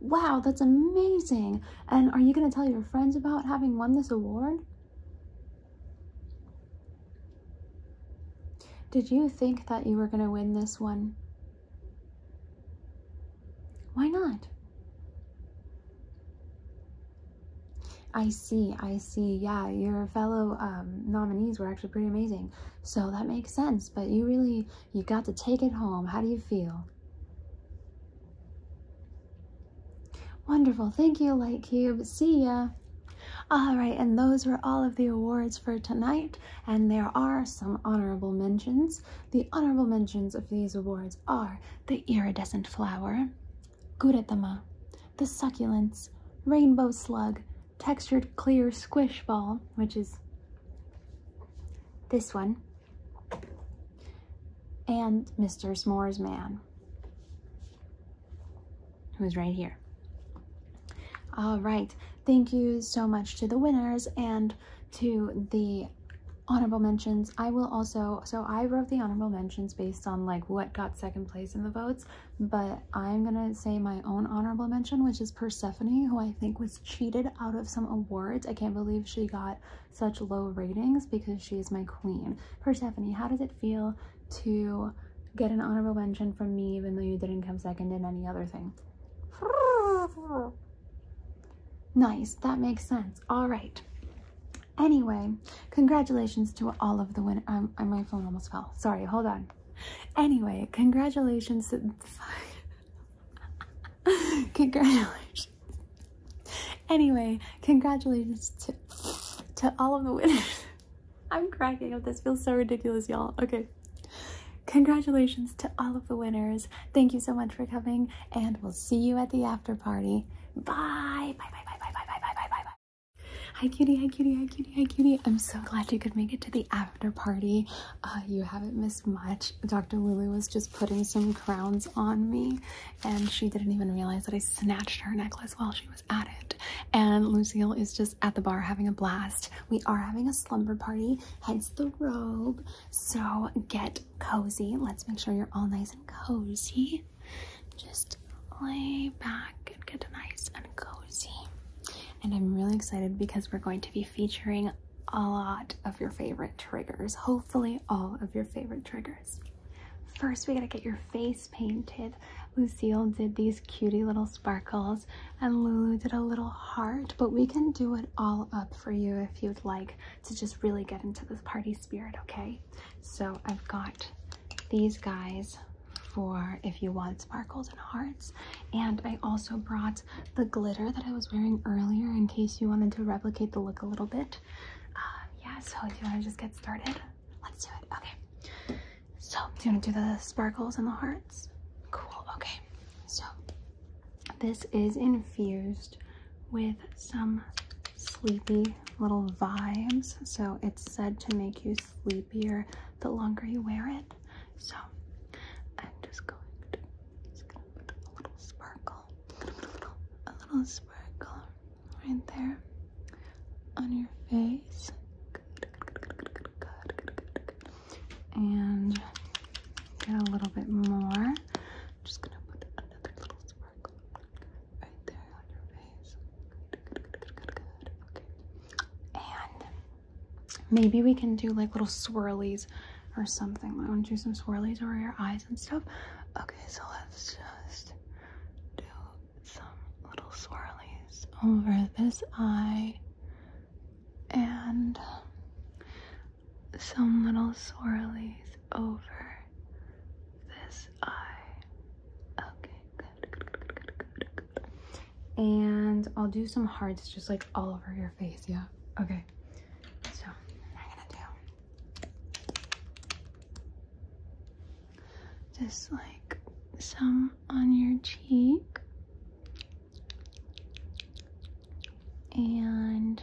Wow, that's amazing. And are you going to tell your friends about having won this award? Did you think that you were going to win this one? Why not? I see, I see. Yeah, your fellow um, nominees were actually pretty amazing. So that makes sense, but you really, you got to take it home. How do you feel? Wonderful. Thank you, Lightcube. See ya. All right, and those were all of the awards for tonight, and there are some honorable mentions. The honorable mentions of these awards are the iridescent flower, Guratama, the succulents, rainbow slug, textured clear squish ball, which is this one, and Mr. S'mores Man, who's right here. All right, thank you so much to the winners and to the honorable mentions. I will also, so I wrote the honorable mentions based on like what got second place in the votes, but I'm gonna say my own honorable mention, which is Persephone, who I think was cheated out of some awards. I can't believe she got such low ratings because she's my queen. Persephone, how does it feel to get an honorable mention from me even though you didn't come second in any other thing? nice, that makes sense. All right. Anyway, congratulations to all of the winners. Um, my phone almost fell. Sorry, hold on. Anyway, congratulations to... congratulations. Anyway, congratulations to, to all of the winners. I'm cracking up. This feels so ridiculous, y'all. Okay. Congratulations to all of the winners. Thank you so much for coming and we'll see you at the after party. Bye. Bye, bye, bye, bye, bye, bye, bye, bye, bye. Hi, cutie. Hi, cutie. Hi, cutie. Hi, cutie. I'm so glad you could make it to the after party. Uh, you haven't missed much. Dr. Lulu was just putting some crowns on me, and she didn't even realize that I snatched her necklace while she was at it. And Lucille is just at the bar having a blast. We are having a slumber party, hence the robe. So get cozy. Let's make sure you're all nice and cozy. Just lay back and get nice and cozy. And I'm really excited because we're going to be featuring a lot of your favorite triggers. Hopefully, all of your favorite triggers. First, we gotta get your face painted. Lucille did these cutie little sparkles and Lulu did a little heart, but we can do it all up for you if you'd like to just really get into this party Spirit, okay? So I've got these guys for if you want sparkles and hearts. And I also brought the glitter that I was wearing earlier in case you wanted to replicate the look a little bit. Uh, yeah, so do you want to just get started? Let's do it. Okay. So do you want to do the sparkles and the hearts? Cool. Okay. So this is infused with some sleepy little vibes. So it's said to make you sleepier the longer you wear it. So I'm just going to, put a little sparkle, a little sparkle right there on your face. And get a little bit more. I'm just gonna put another little sparkle right there on your face. Okay. And maybe we can do like little swirlies or something. I want to do some swirlies over your eyes and stuff. Okay, so let's just do some little swirlies over this eye and some little swirlies over this Okay, And I'll do some hearts just like all over your face, yeah? Okay. So, I'm gonna do just like some on your cheek. And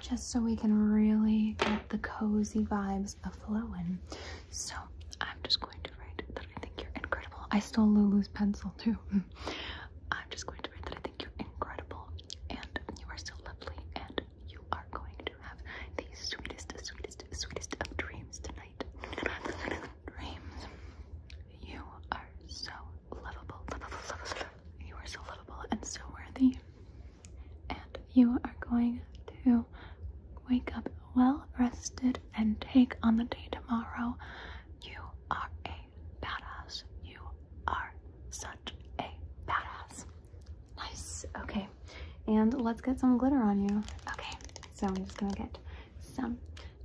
just so we can really get the cozy vibes aflowing. So I'm just going to write that I think you're incredible. I stole Lulu's pencil too. I'm just going to write that I think you're incredible and you are so lovely and you are going to have the sweetest, sweetest, sweetest of dreams tonight. dreams. You are so lovable. You are so lovable and so worthy. And you are going to wake up well rested and take on the day tomorrow. You are a badass. You are such a badass. Nice. Okay. And let's get some glitter on you. Okay. So I'm just gonna get some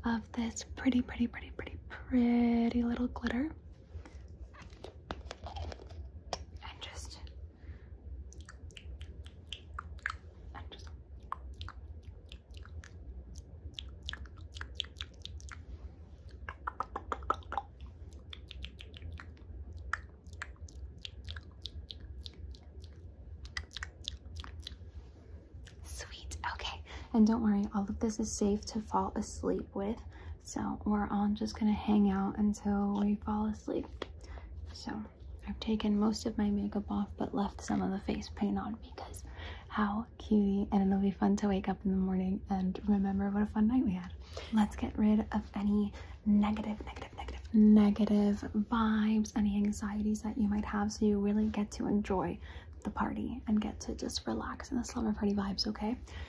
of this pretty, pretty, pretty, pretty, pretty little glitter and just and just Sweet. Okay. And don't worry, all of this is safe to fall asleep with. So we're all just gonna hang out until we fall asleep. So I've taken most of my makeup off but left some of the face paint on because how cutie and it'll be fun to wake up in the morning and remember what a fun night we had. Let's get rid of any negative, negative, negative, negative vibes, any anxieties that you might have so you really get to enjoy the party and get to just relax in the slumber party vibes, okay?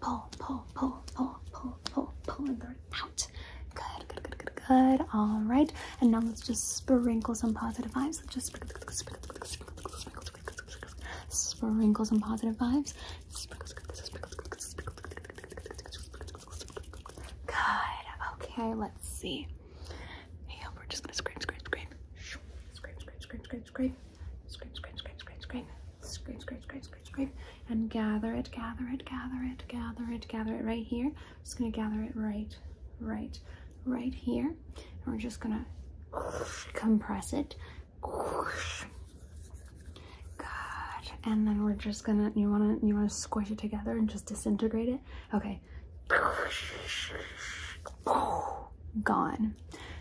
pull, pull, pull, pull, pull, pull, pull, pull, and they're out. Good, good, good, good, good. All right. And now let's just sprinkle some positive vibes. Let's just sprinkle, sprinkle, sprinkle, sprinkle, sprinkle, sprinkle, sprinkle, sprinkle, sprinkle some positive vibes. Sprinkle, sprinkle, sprinkle, sprinkle, sprinkle, sprinkle. Good. Okay. Let's see. Yeah, we're just gonna scream, scream, scream, scream, scream, scream, scrape, scrape, scrape, scrape, scrape, scrape, scrape, scrape, scrape, scrape, scrape, and gather it, gather it, gather it, gather it, gather it right here. Just gonna gather it right, right, right here, and we're just gonna compress it. God, and then we're just gonna. You wanna you wanna squish it together and just disintegrate it. Okay. Gone.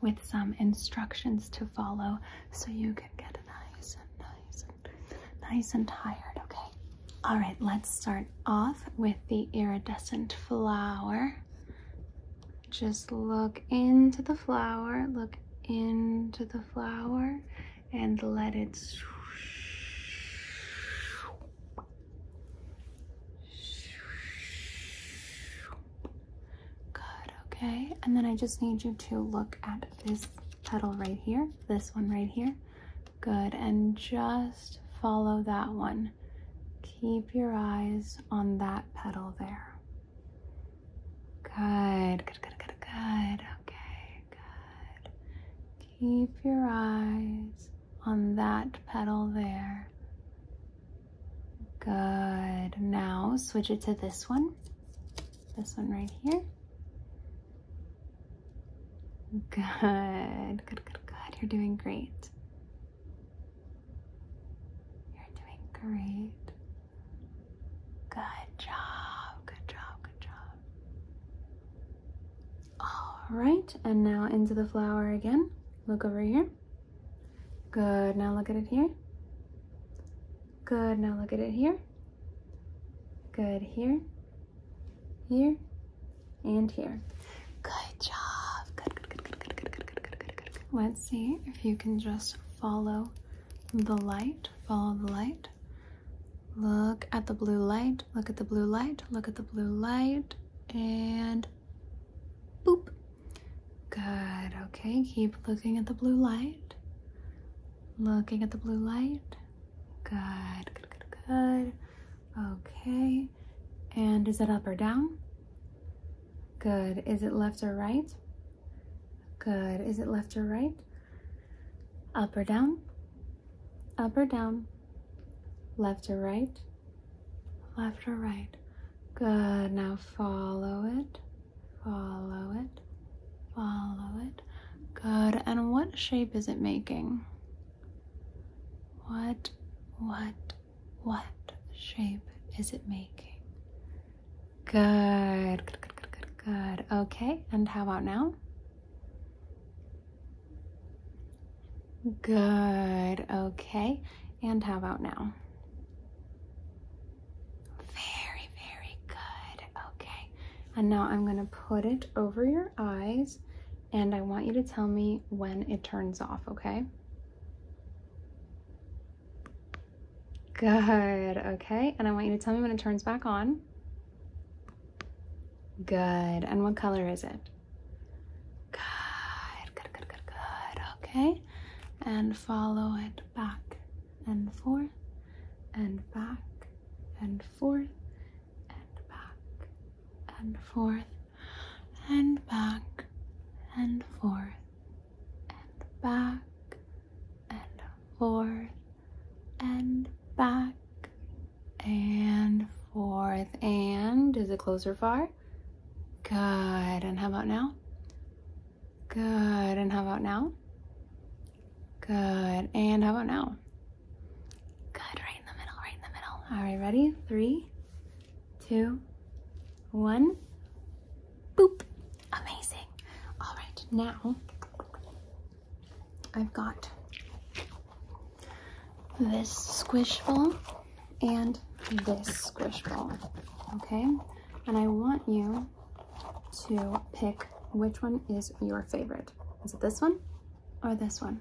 with some instructions to follow so you can get nice and nice and nice and tired, okay? All right, let's start off with the iridescent flower. Just look into the flower, look into the flower and let it Good, okay. And then I just need you to look at this petal right here, this one right here. Good, and just follow that one. Keep your eyes on that petal there. Good, good, good, good, good. Okay, good. Keep your eyes on that petal there. Good. Now switch it to this one. This one right here. Good, good, good, good. You're doing great. You're doing great. Good job, good job, good job. All right, and now into the flower again. Look over here. Good, now look at it here. Good, now look at it here. Good, here, here, and here. Good job. Good, good, good, good, good, good, good, good, good, Let's see if you can just follow the light, follow the light. Look at the blue light, look at the blue light, look at the blue light, and boop. Good. Okay, keep looking at the blue light. Looking at the blue light. Good, good, good, good. Okay. And is it up or down? Good. Is it left or right? Good. Is it left or right? Up or down? Up or down? Left or right? Left or right? Good. Now follow it. Follow it. Follow it. Good. And what shape is it making? What, what, what shape is it making? Good. Good, good, good, good, Okay. And how about now? Good. Okay. And how about now? Very, very good. Okay. And now I'm going to put it over your eyes and I want you to tell me when it turns off, okay? Good. Okay. And I want you to tell me when it turns back on. Good. And what color is it? Good. Good, good, good, good. Okay. And follow it back and forth and back and forth and back and forth and back and forth and back and forth and back and forth and is it close or far? Good. And how about now? Good. And how about now? Good. And how about now? Good. Right in the middle, right in the middle. All right, ready? Three, two, one. Boop. Amazing. All right, now I've got this squish ball and this squish ball, okay? And I want you to pick which one is your favorite. Is it this one or this one?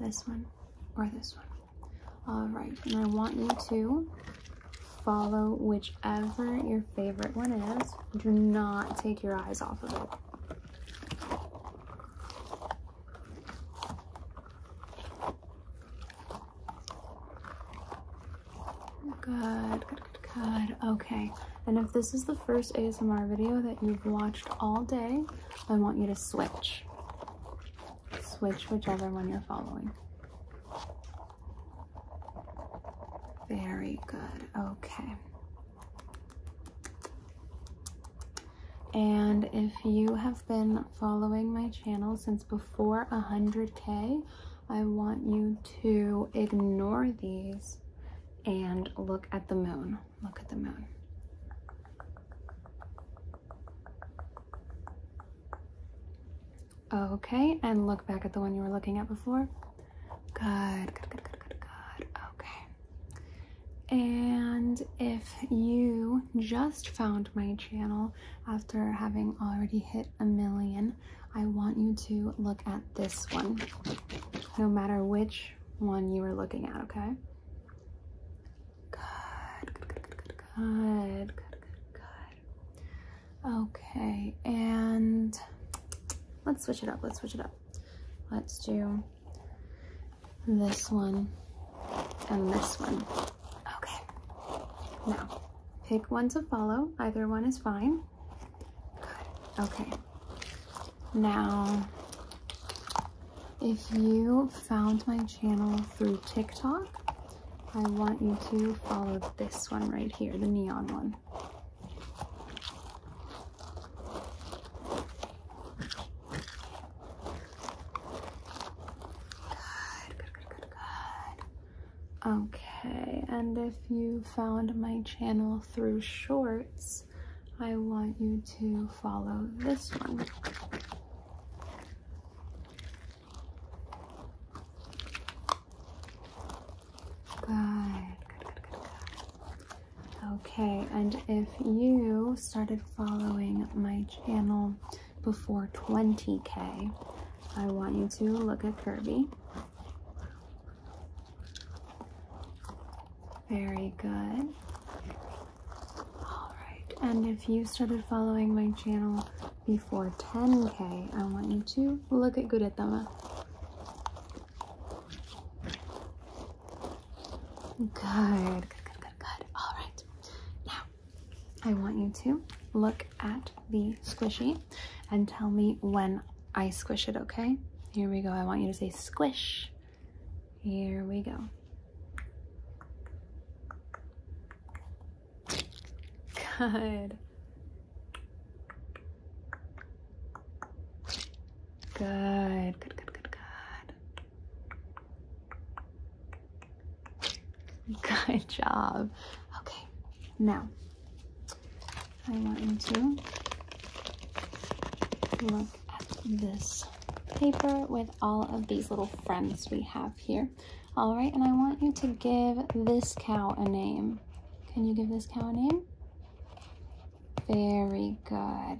This one or this one? All right, and I want you to follow whichever your favorite one is. Do not take your eyes off of it. Good, good, good, Okay. And if this is the first ASMR video that you've watched all day, I want you to switch. Switch whichever one you're following. Very good. Okay. And if you have been following my channel since before 100K, I want you to ignore these and look at the moon. Look at the moon. Okay, and look back at the one you were looking at before. Good, good, good, good, good, good. Okay. And if you just found my channel after having already hit a million, I want you to look at this one, no matter which one you are looking at, okay? Good, good, good, good, good, good, good, good. Okay, and let's switch it up, let's switch it up. Let's do this one and this one. Okay, now pick one to follow, either one is fine. Okay. Now, if you found my channel through TikTok, I want you to follow this one right here, the neon one. Good, good, good, good, good. Okay, and if you found my channel through shorts, I want you to follow this one. Good, good, good, good, good. Okay, and if you started following my channel before 20k, I want you to look at Kirby. Very good. All right, and if you started following my channel before 10K, I want you to look at Guretama. Good, good, good, good, good. All right. Now, I want you to look at the squishy and tell me when I squish it, okay? Here we go. I want you to say squish. Here we go. Good. Good, good, good, good, good. job. Okay, now I want you to look at this paper with all of these little friends we have here. All right, and I want you to give this cow a name. Can you give this cow a name? Very good.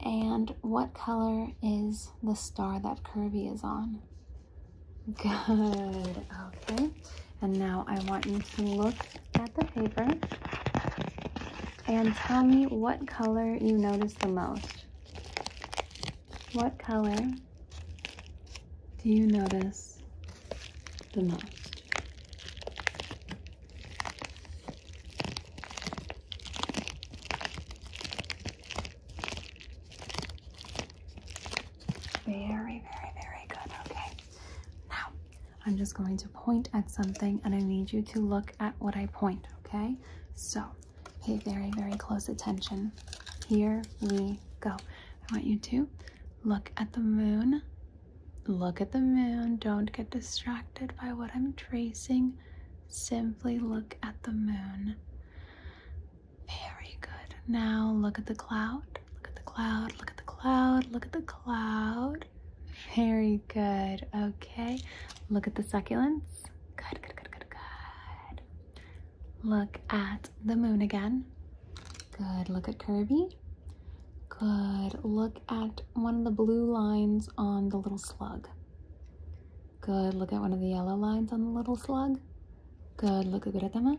And what color is the star that Kirby is on? Good, okay. And now I want you to look at the paper and tell me what color you notice the most. What color do you notice the most? Very, very, very good. Okay. Now, I'm just going to point at something and I need you to look at what I point. Okay. So pay very, very close attention. Here we go. I want you to look at the moon. Look at the moon. Don't get distracted by what I'm tracing. Simply look at the moon. Very good. Now look at the cloud. Look at the cloud, look at the cloud, look at the cloud. Very good. Okay. Look at the succulents. Good, good, good, good, good. Look at the moon again. Good. Look at Kirby. Good. Look at one of the blue lines on the little slug. Good. Look at one of the yellow lines on the little slug. Good. Look at them.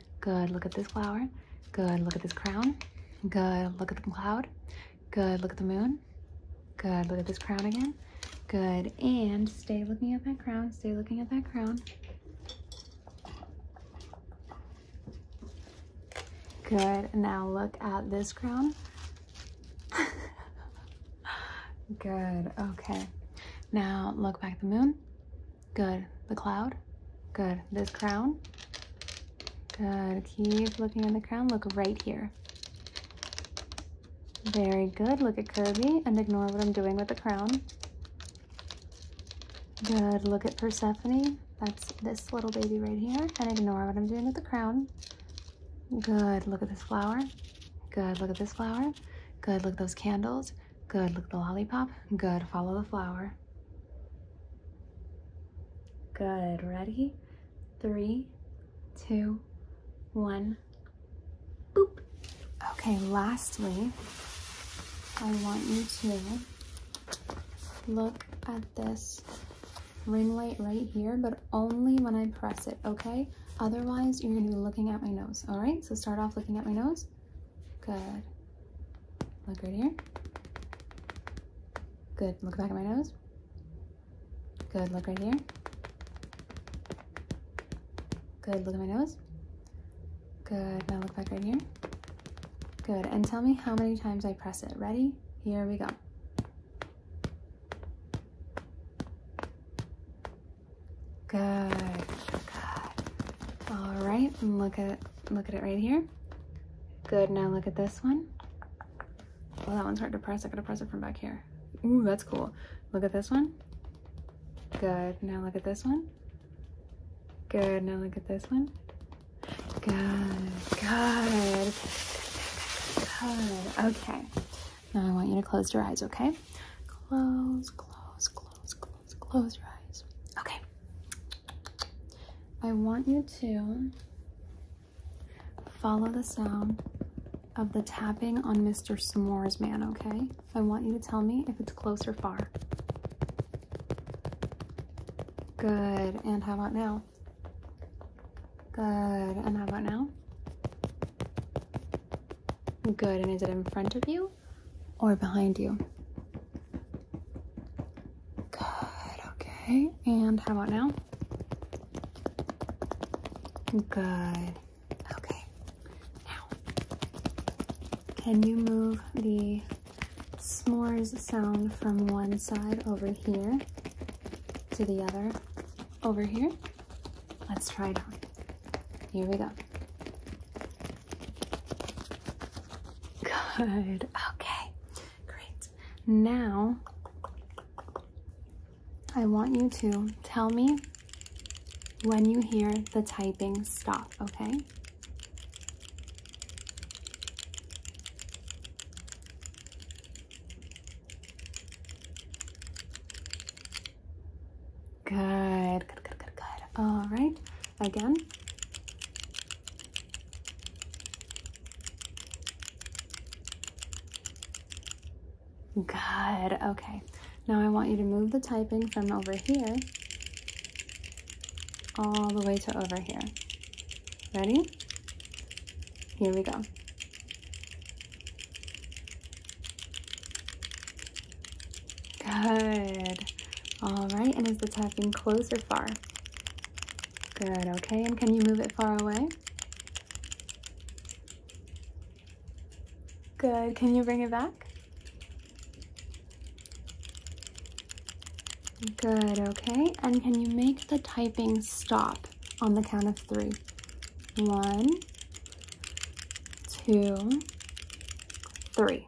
Good, look at this flower. Good, look at this crown. Good, look at the cloud. Good, look at the moon. Good, look at this crown again. Good, and stay looking at that crown. Stay looking at that crown. Good, now look at this crown. Good, okay. Now look back at the moon. Good, the cloud. Good. This crown. Good. Keep looking at the crown. Look right here. Very good. Look at Kirby and ignore what I'm doing with the crown. Good. Look at Persephone. That's this little baby right here. And ignore what I'm doing with the crown. Good. Look at this flower. Good. Look at this flower. Good. Look at those candles. Good. Look at the lollipop. Good. Follow the flower. Good, ready? Three, two, one, boop. Okay, lastly, I want you to look at this ring light right here, but only when I press it, okay? Otherwise, you're gonna be looking at my nose, all right? So start off looking at my nose. Good. Look right here. Good. Look back at my nose. Good. Look right here. Good. Look at my nose. Good. Now look back right here. Good. And tell me how many times I press it. Ready? Here we go. Good. Good. All right. Look at Look at it right here. Good, now look at this one. Well, that one's hard to press. I gotta press it from back here. Ooh, that's cool. Look at this one. Good, now look at this one. Good, now look at this one. Good, good, good. Okay, now I want you to close your eyes, okay? Close, close, close, close, close your eyes. Okay, I want you to follow the sound of the tapping on Mr. S'mores Man, okay? I want you to tell me if it's close or far. Good. And how about now? Good. And how about now? Good. And is it in front of you or behind you? Good, okay. And how about now? Good. Okay. Now, can you move the s'mores sound from one side over here to the other over here? Let's try it on. Here we go. Good. Okay. Great. Now, I want you to tell me when you hear the typing stop, okay? Good, good, good, good, good. All right, again. Good, okay. Now I want you to move the typing from over here all the way to over here. Ready? Here we go. Good. All right, and is the typing close or far? Good, okay, and can you move it far away? Good, can you bring it back? Good, okay, and can you make the typing stop on the count of three? One, two, three.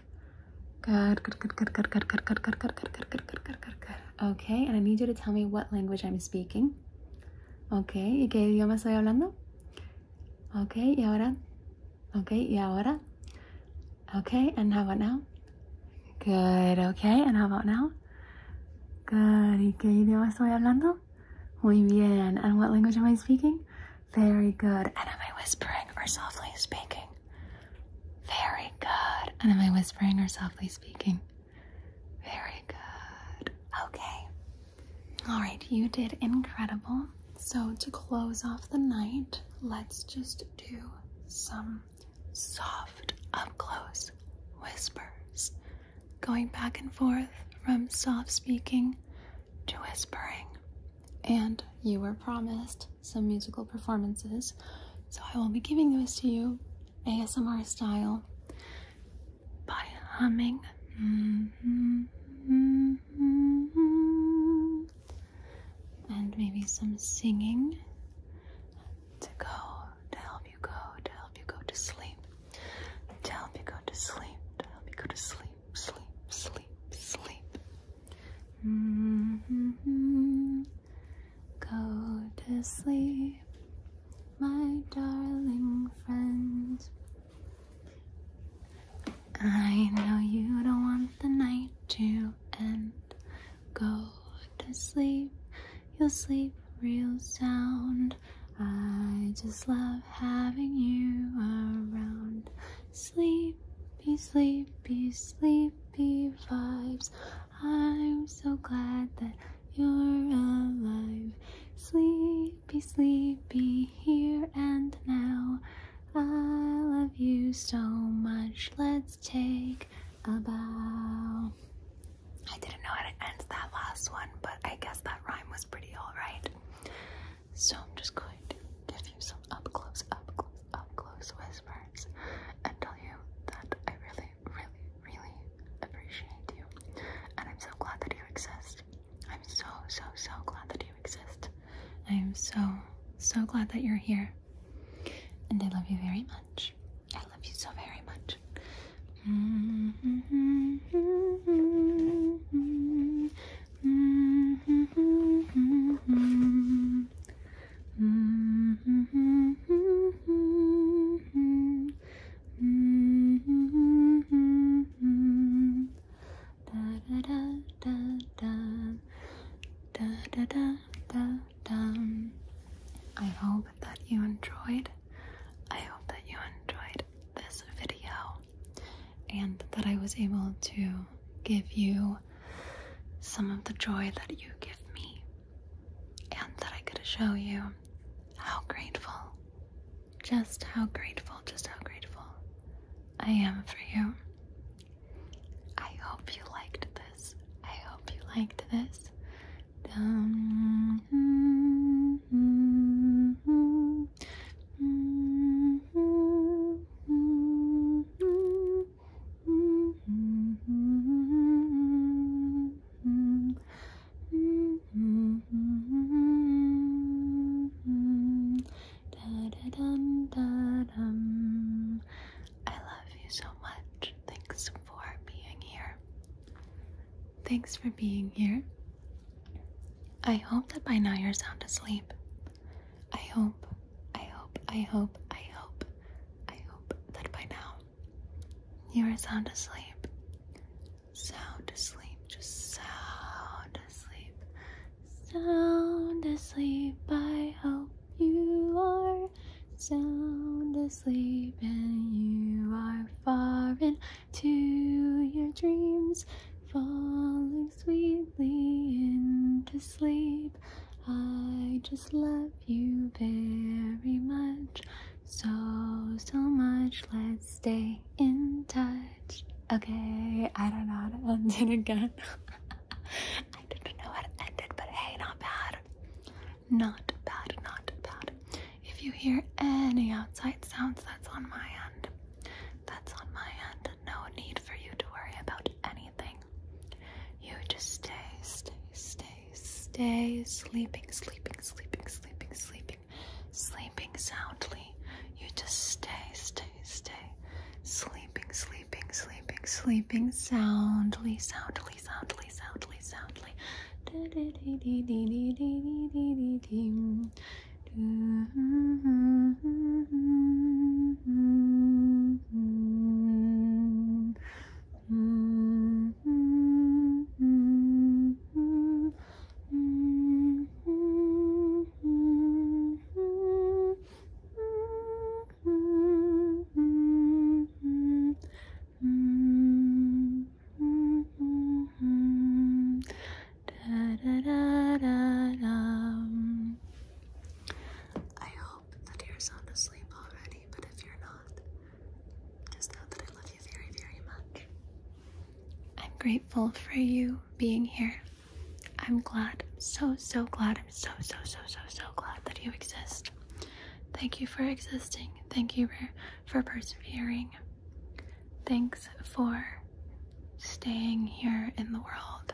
back. Good, good, good, good, good, good, good, good, good, good, good, good, good, good, good, good, good. Okay, and I need you to tell me what language I'm speaking. Okay, ¿y qué idioma estoy hablando? Okay, y ahora? Okay, y ahora? Okay, and how about now? Good, okay, and how about now? Good, ¿y qué idioma estoy hablando? Muy bien, and what language am I speaking? Very good. And am I whispering or softly speaking? Very good. And am I whispering or softly speaking? Very good. Okay. All right, you did incredible. So, to close off the night, let's just do some soft, up close whispers, going back and forth from soft speaking to whispering and you were promised some musical performances, so I will be giving those to you ASMR style by humming. and maybe some singing to go, to help you go, to help you go to sleep, to help you go to sleep, to help you go to sleep, sleep, sleep, sleep. Mm-hmm. Go to sleep, my darling friend. I know you don't want the night to end. Go to sleep, you'll sleep real sound. I just love having you around. Sleepy, sleepy, sleepy vibes. I'm so glad that you're alive. Sleepy, sleepy, here and now. I love you so much. Let's take a bow. I didn't know how to end that last one, but I guess that rhyme was pretty alright. So I'm just going to give you some up close, up close, up close whispers and tell you that I really, really, really appreciate you. And I'm so glad that you exist. I'm so, so, so glad that you exist. I am so, so glad that you're here. And I love you very much. I love you so very much. Mm-hmm. I hope that you enjoyed. I hope that you enjoyed this video and that I was able to give you some of the joy that you give me, and that I could show you how grateful, just how grateful, just how grateful I am for you. I hope you liked this. I hope you liked this. I love you so much. Thanks for being here. Thanks for being here. I hope that by now you're sound asleep. I hope, I hope, I hope, I hope, I hope that by now you are sound asleep. Sound asleep, just sound asleep. Sound asleep, I hope you are sound asleep and you are far into your dreams, falling sweetly into sleep. I just love you very much. So, so much. Let's stay in touch. Okay, I don't know how to end it again. I didn't know how to end it, but hey, not bad. Not bad, not bad. If you hear any outside sounds, that's on my end. That's on my end no need for you to worry about anything. You just stay, stay, stay, stay sleeping, sleeping, sleeping, sleeping, sleeping, sleeping soundly. You just stay, stay, stay, sleeping, sleeping, sleeping, sleeping soundly, soundly, soundly, soundly, soundly. Do, Hmm. da, da, da, da. I hope that you're sound asleep already, but if you're not, just know that I love you very, very much. I'm grateful for you being here. I'm glad, so, so glad, I'm so, so, so, so, so glad that you exist. Thank you for existing. Thank you for, for persevering. Thanks for staying here in the world.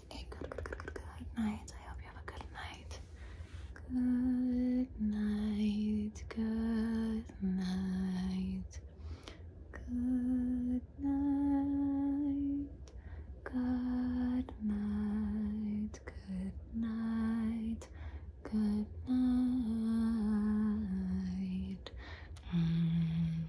good, night. I hope you have a good night. Good night. Good night. Good night. Good night. Good night. Good night. Mm.